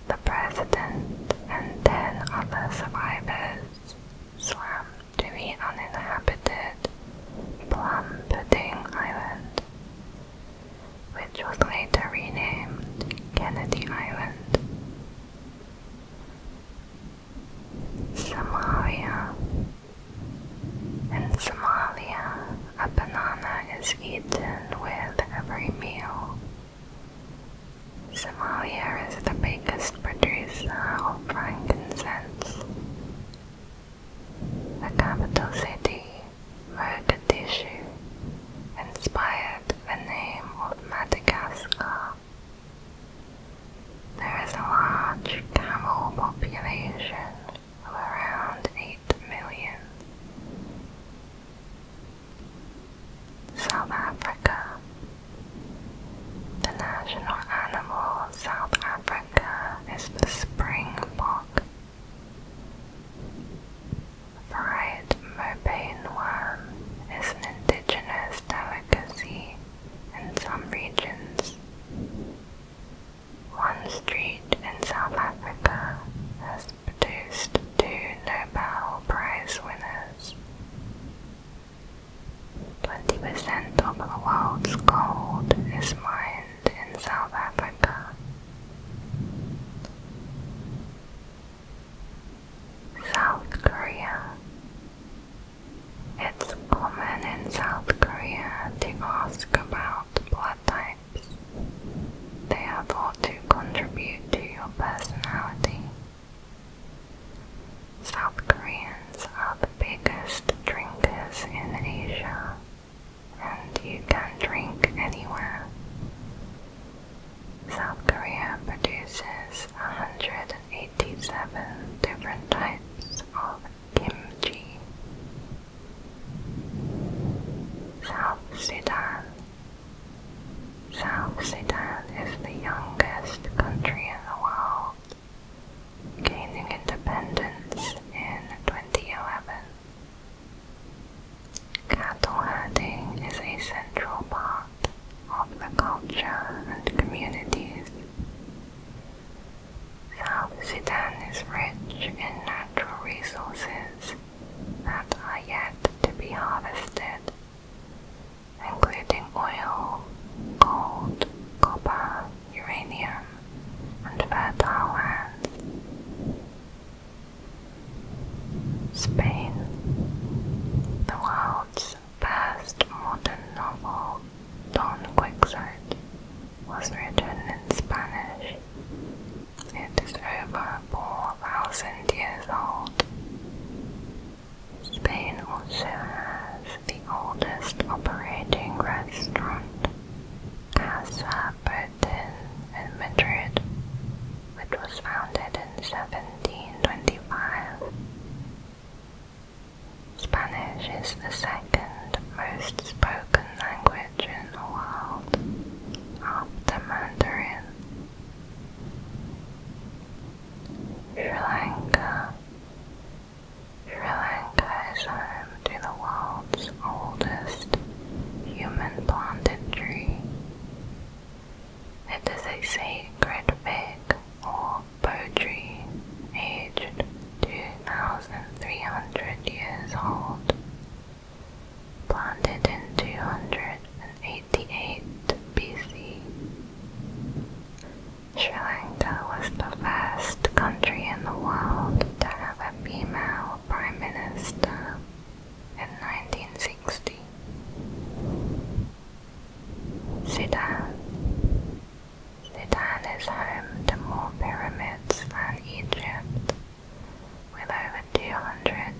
The president and ten other survivors swam to the uninhabited Plum Pudding Island, which was later renamed Kennedy Island. Somalia. In Somalia, a banana is eaten with every meal. Somalia is the biggest producer of frankincense, the capital city, Mogadishu, inspired the name of Madagascar. There is a large camel population of around 8 million. South Africa. The national animal of South Africa America the springbok. Fried mopane worm is an indigenous delicacy in some regions. One street in South Africa has produced two Nobel Prize winners. 20% of the world's gold is mined in South Africa. South Korea. It's common in South Korea to ask about blood types. They have all to contribute to your personality. South Korean are the biggest drinkers in Asia, and you can drink anywhere. South Korea produces 187 different types of kimchi. South Sudan. South Sudan is the youngest country in the world gaining independence in 2011. Cattle herding is a central part of the culture and communities. South Sudan is rich in natural resources that are yet to be harvested, including oil, gold, copper, uranium, and fertile lands. Spain, the world's first modern novel, Don Quixote, was written in Spanish. It is over 4,000 years old. Spain also has the oldest operating restaurant Casa Bertin in Madrid, which was founded in 1725. Spanish is the second most spoken language in the world, after Mandarin. Sri Lanka Sri Lanka is home to the world's oldest human planted tree. It is a sacred fig or bow tree aged 2,300 years old, planted in 288 BC. Sri Lanka was the first country in the world to have a female prime minister in 1960. Sudan. Sudan is home to more pyramids than Egypt, with over 200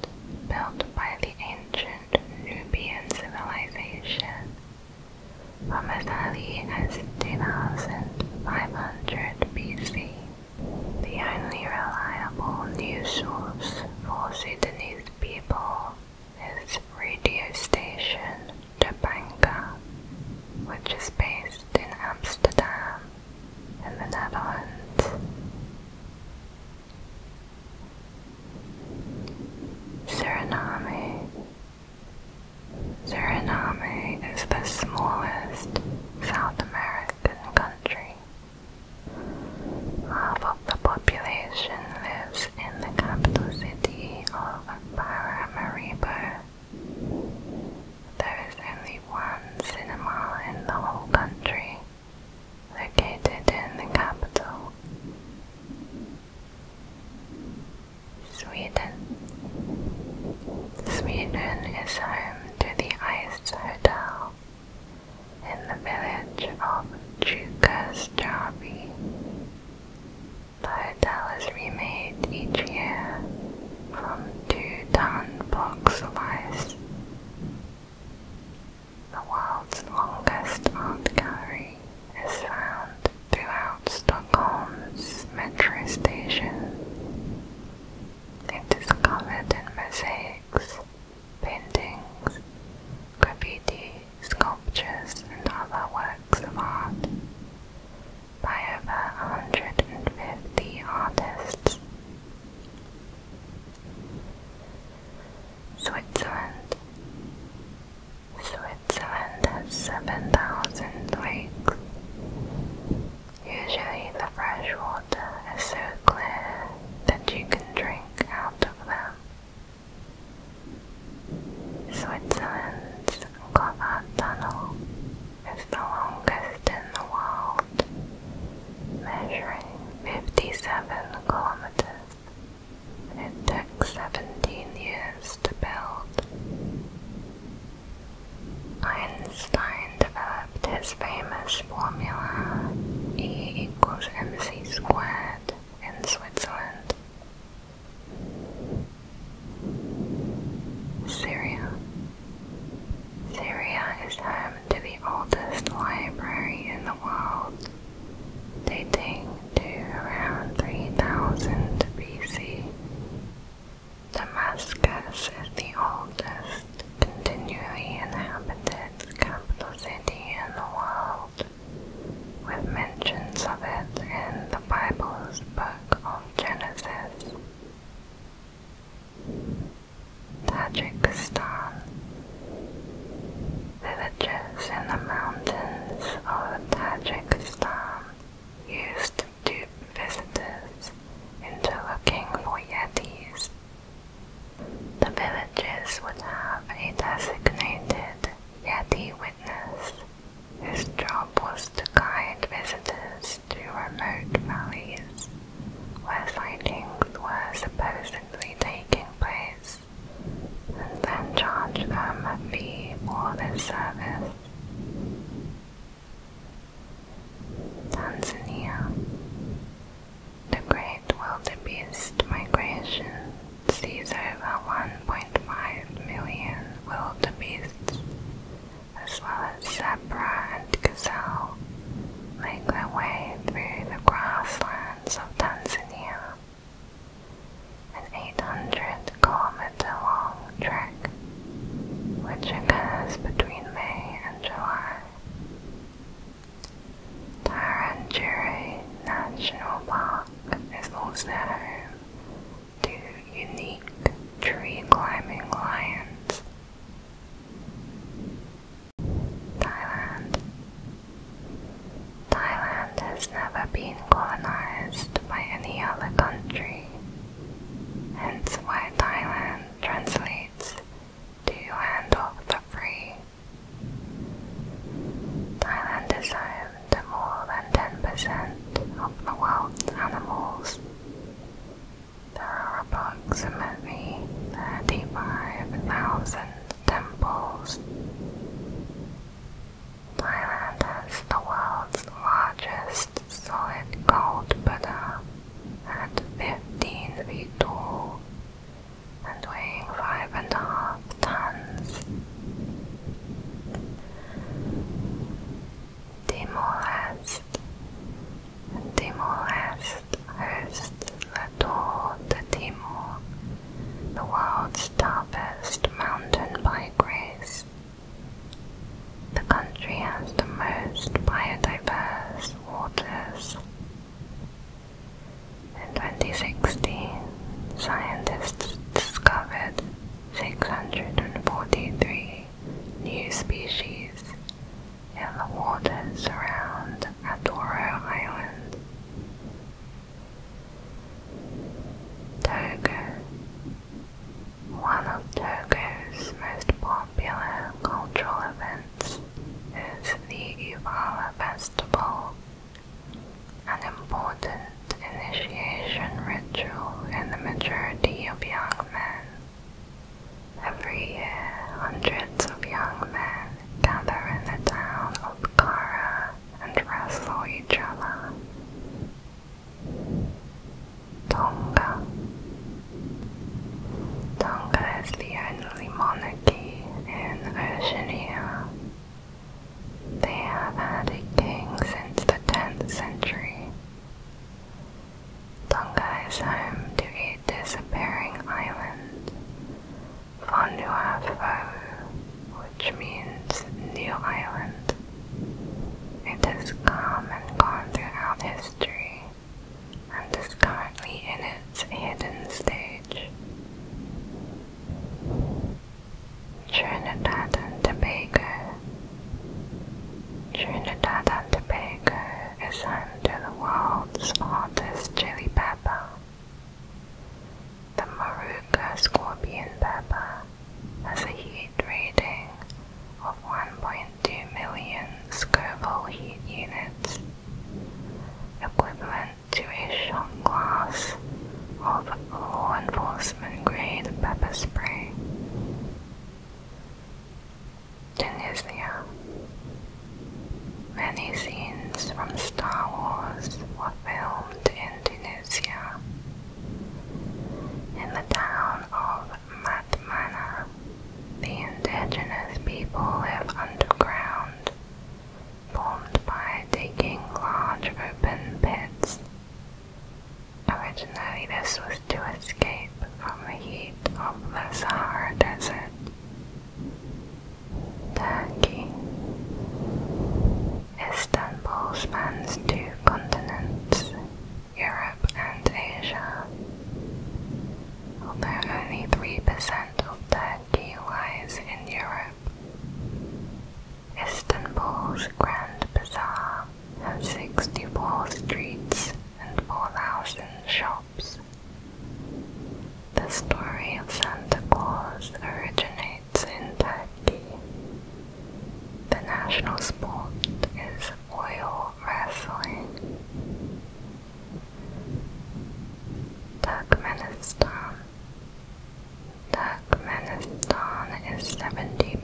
built by the ancient Nubian civilization from as early as 15,500 BC. The only reliable news source for Sudanese people is radio station Tabanka, which is based in Amsterdam in the Netherlands. Suriname Suriname is the smallest South American country. Half of the population lives in the capital city of Paramaribo. There is only one cinema in the whole country, located in the capital. Sweden. Sweden is home to the Ice Hotel in the village of Jukkasjärvi. The hotel is remade each year from two-ton blocks of ice. The world's longest art gallery is found throughout Stockholm's metro station. It is covered in mosaics, paintings, graffiti, sculptures, and other works of art by over 150 artists. Switzerland. Switzerland has 7,000 lakes Usually the fresh water is so clear that you can drink out of them. Switzerland's Gotthard Tunnel is the longest in the world, measuring 57 kilometers. It took 17 years to build. Einstein developed his famous formula E equals mc squared in Switzerland. Syria. Syria is home to the oldest library in the world, dating to around 3000 BC. Damascus is the oldest continually inhabited capital city in the world, with mentions of it in the Bible's book of Genesis. Tajikistan Villages in the mountains of Tajikistan used to visitors into looking for yetis. The villages would have a designated yeti witness, whose job was to guide visitors to remote valleys where sightings were supposedly taking place, and then charge them a fee for this service. Tanzania The Great Wildebeest Migration sees over 1.5 million wildebeests, as well as zebra and gazelle, make their way through the grasslands of Tanzania. An 800 km with the long trek, which occurs between May and July. Taranjiri National Park is home to unique tree climbing lions. Thailand. Thailand has never been colonized by any other country hence why Thailand translates to hand of the free. Thailand is home to more than 10% of the world's animals. There are approximately 35,000 temples. Thailand has the world's largest solid gold butter uh, at 15 feet tall and weighing five and a half tons. Timor-Leste hosts the Tour de Timor, the world's toughest mountain bike race the country has the most biodiverse waters. In 2016, scientists discovered 643 new species in the waters around Adoro Island. Togo one of Togo's most popular cultural events is the Uvala Festival, an important initiation ritual in the maturity of young men. Every year, hundreds of young men gather in the town of Kara and wrestle each other. Tonga. Tonga is the only monarchy in Oceania. They have had a king since the 10th century. Tonga is home to a disappearing island, Vanuatu, which means new island. It has come and gone throughout history and is currently in its hidden stage. Trinidad and Tobago. Trinidad and Tobago is home to the world's hottest chili pepper, the Moruga scorpion pepper has a heat rating of 1.2 million Scoville heat units, equivalent to a shot glass of law enforcement grade pepper spray. Tunisia. Many scenes from Star Wars were filmed in Tunisia. In the town of Matmana, the indigenous people live underground, formed by digging large open pits. Originally this was to escape from the heat of the Sahara Desert. Turkey Istanbul spans two continents, Europe, and Asia. Although only 3% of Turkey lies in Europe, Istanbul's Grand Bazaar has 64 streets and 4,000 shops. The story of Santa Claus originates in Turkey. The national sport is oil wrestling. Turkmenistan. Turkmenistan is 70%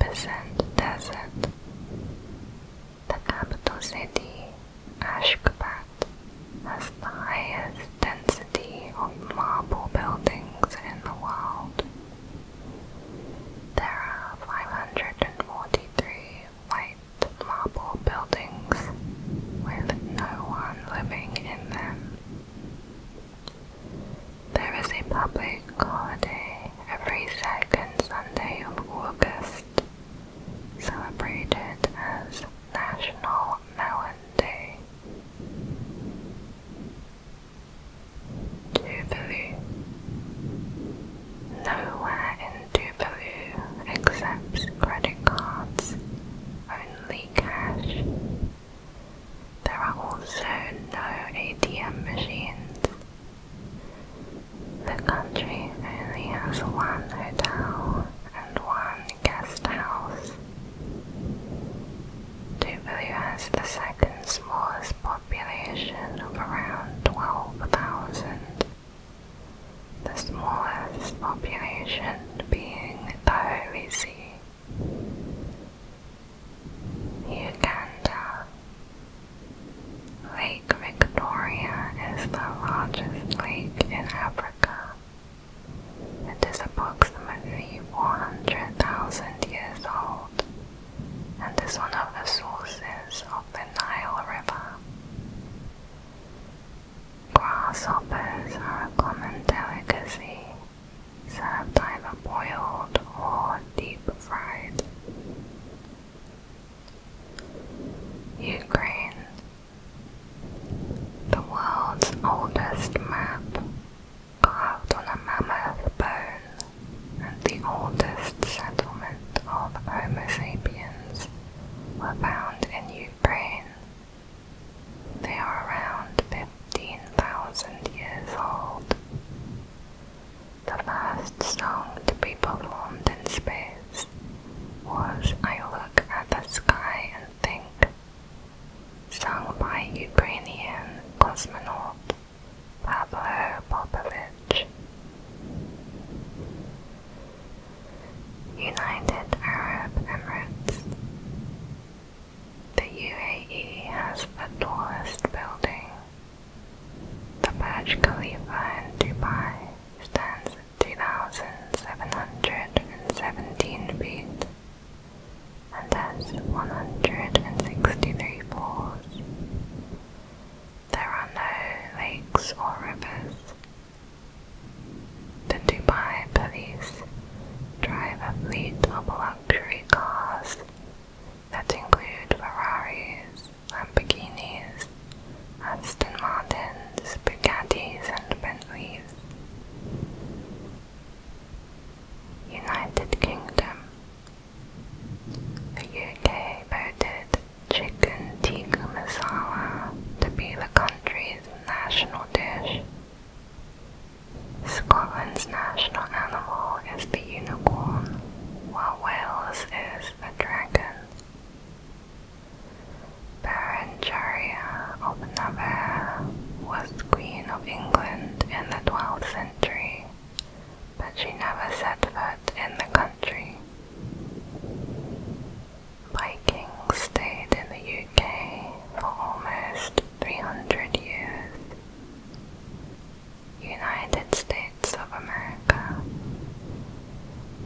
desert. The capital city, Ashgabat, has the highest density of marble buildings in the world. There are 543 white marble buildings with no one living in them. There is a public holiday every second Sunday of August, celebrated as National Melon Day. Tuvalu. Nowhere in Tuvalu accepts credit cards, only cash. There are also no ATM machines. The country only has one hotel and one guest house. has the second smallest population of around 12,000, the smallest population being the Holy See. Uganda Lake Victoria is the largest lake in Africa. It is approximately one hundred thousand years old and is one of the sources of the Nile River. Grasshoppers are a common delicacy, served either boiled or deep fried. Ukraine, the world's oldest map carved a mammoth bone and the oldest settlement of Homo sapiens were found in Ukraine. They are around 15,000 years old. The first song to be performed in space was I Look at the Sky and Think, sung by Ukrainian cosmonaut Pavlo Popovich. United Arab Emirates. The UAE has the tallest building. The Burj Khalifa in Dubai stands at 2,717 feet and has 163 floors. There are no lakes or rivers. The Dubai police drive a fleet of luxury cars that include Ferraris, Lamborghinis, Aston Martins, Bugattis, and Bentleys. United Kingdom the UK voted chicken tikka masala to be the country's national dish. Scotland's national animal is the unicorn, while Wales is the dragon. Berengaria of Navarre was Queen of England in the 12th century but she never set foot in the country. Vikings stayed in the UK for almost 300 years. United States of America.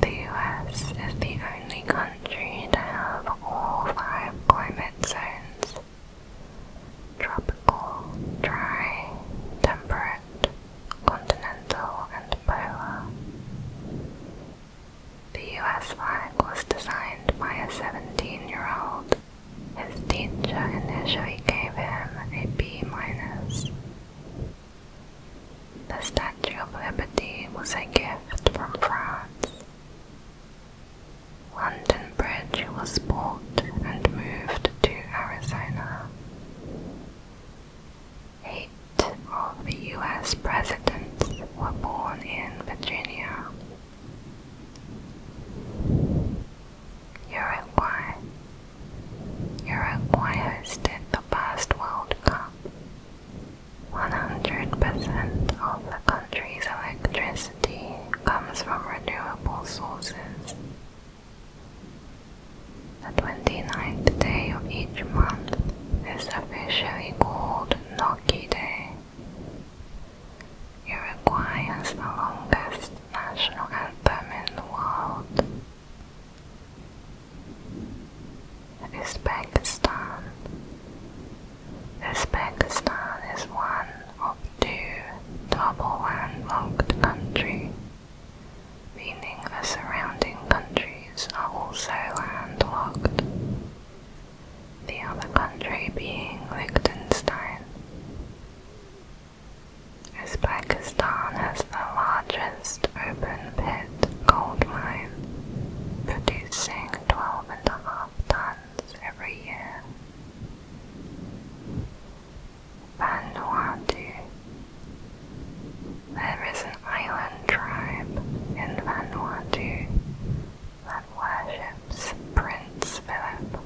The US is the only country to have all five climate zones tropical, dry, temperate, Continental and Polar. The US flag was designed by a 17-year-old. His teacher initially gave him a B minus. The Statue of Liberty was a gift from France. London Bridge was bought and moved to Arizona. Eight of the U.S. presidents were born in Virginia. Uruguay. Uruguay hosted the past World Cup. 100% of the country's electricity comes from renewable sources. The 29th day of each month is officially called Noki Day. Uruguay has the longest national anthem in the world. Uzbekistan. Uzbekistan is one of two double landlocked countries meaning the surrounding countries are also landlocked, the other country being Liechtenstein. Uzbekistan has the largest open pit gold mine, producing 12.5 tons every year. Vanuatu. There is an island tribe in Vanuatu that worships Prince Philip.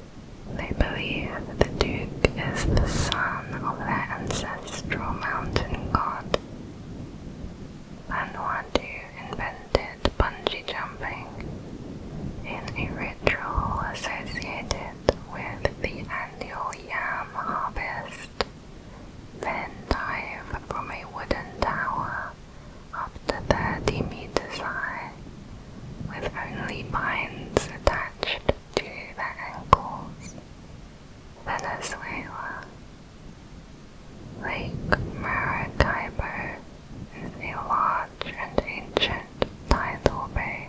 They believe the Duke is the son of their ancestral mountain god. Vanuatu invented bungee jumping in a ritual associated with the annual yam harvest, then dive from a wooden tower up to 30 meters high, with only vines attached to their ankles. Venezuela. Lake Maracaibo is a large and ancient tidal bay.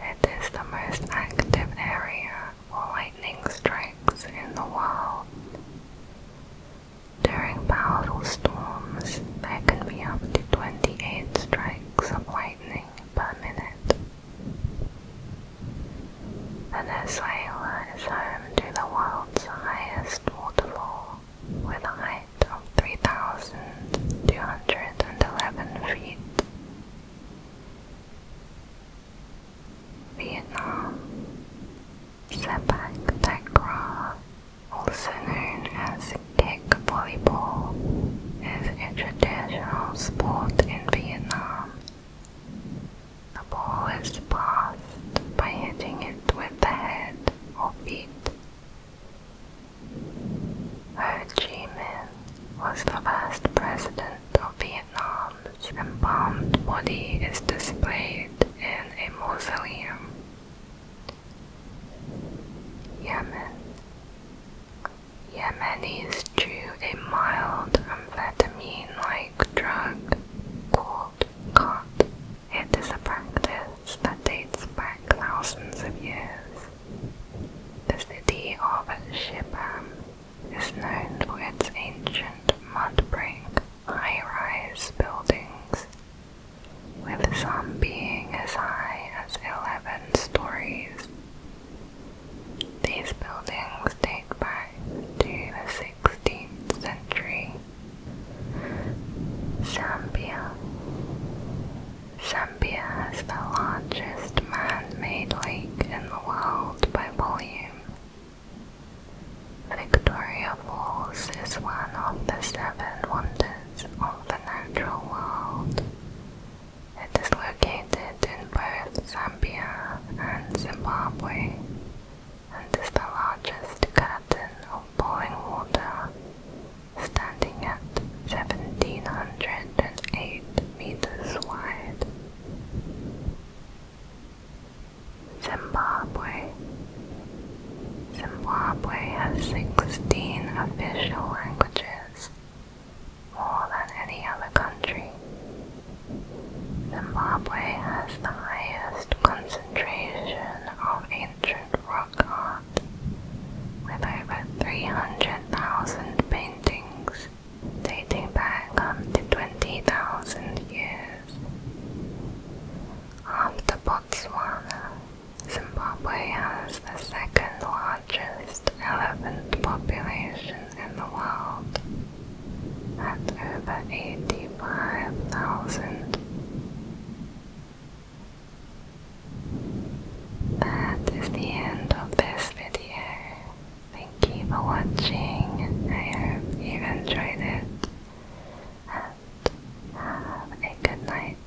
It is the most active area for lightning strikes in the world. During powerful storms, there can be up to 28 strikes of lightning per minute. Venezuela is home to the world's highest waterfall, with a height of 3,211 feet Vietnam. Sepak takraw, also known as kick volleyball, is a traditional sport in Vietnam. The ball is passed by hitting it with the head or feet. Ho Chi Minh was the first president of Vietnam. His embalmed body is displayed in a mausoleum. Yemen. Yemenis chew a mild amphetamine-like drug called cot. It is a practice that dates back thousands of years. The city of Shibam is known for its ancient mudbrick high-rise buildings, with some being as high as 11 stories. These buildings date back to the 16th century. Zambia Zambia has the largest man-made lake in the world by volume. Victoria Falls is one of the seven wonders of the natural world. It is located in both Zambia and Zimbabwe and is the largest curtain of boiling water, standing at 1708 meters wide. Zimbabwe. Zimbabwe has 16 official languages, more than any other country. Zimbabwe has the highest concentration of ancient rock art, with over 300,000 paintings Things dating back up um, to 20,000 years. After um, Botswana, Zimbabwe has the second largest elephant population in the world, at over 85,000. That is the end of this video. Thank you for watching. I hope you enjoyed it. And have a good night.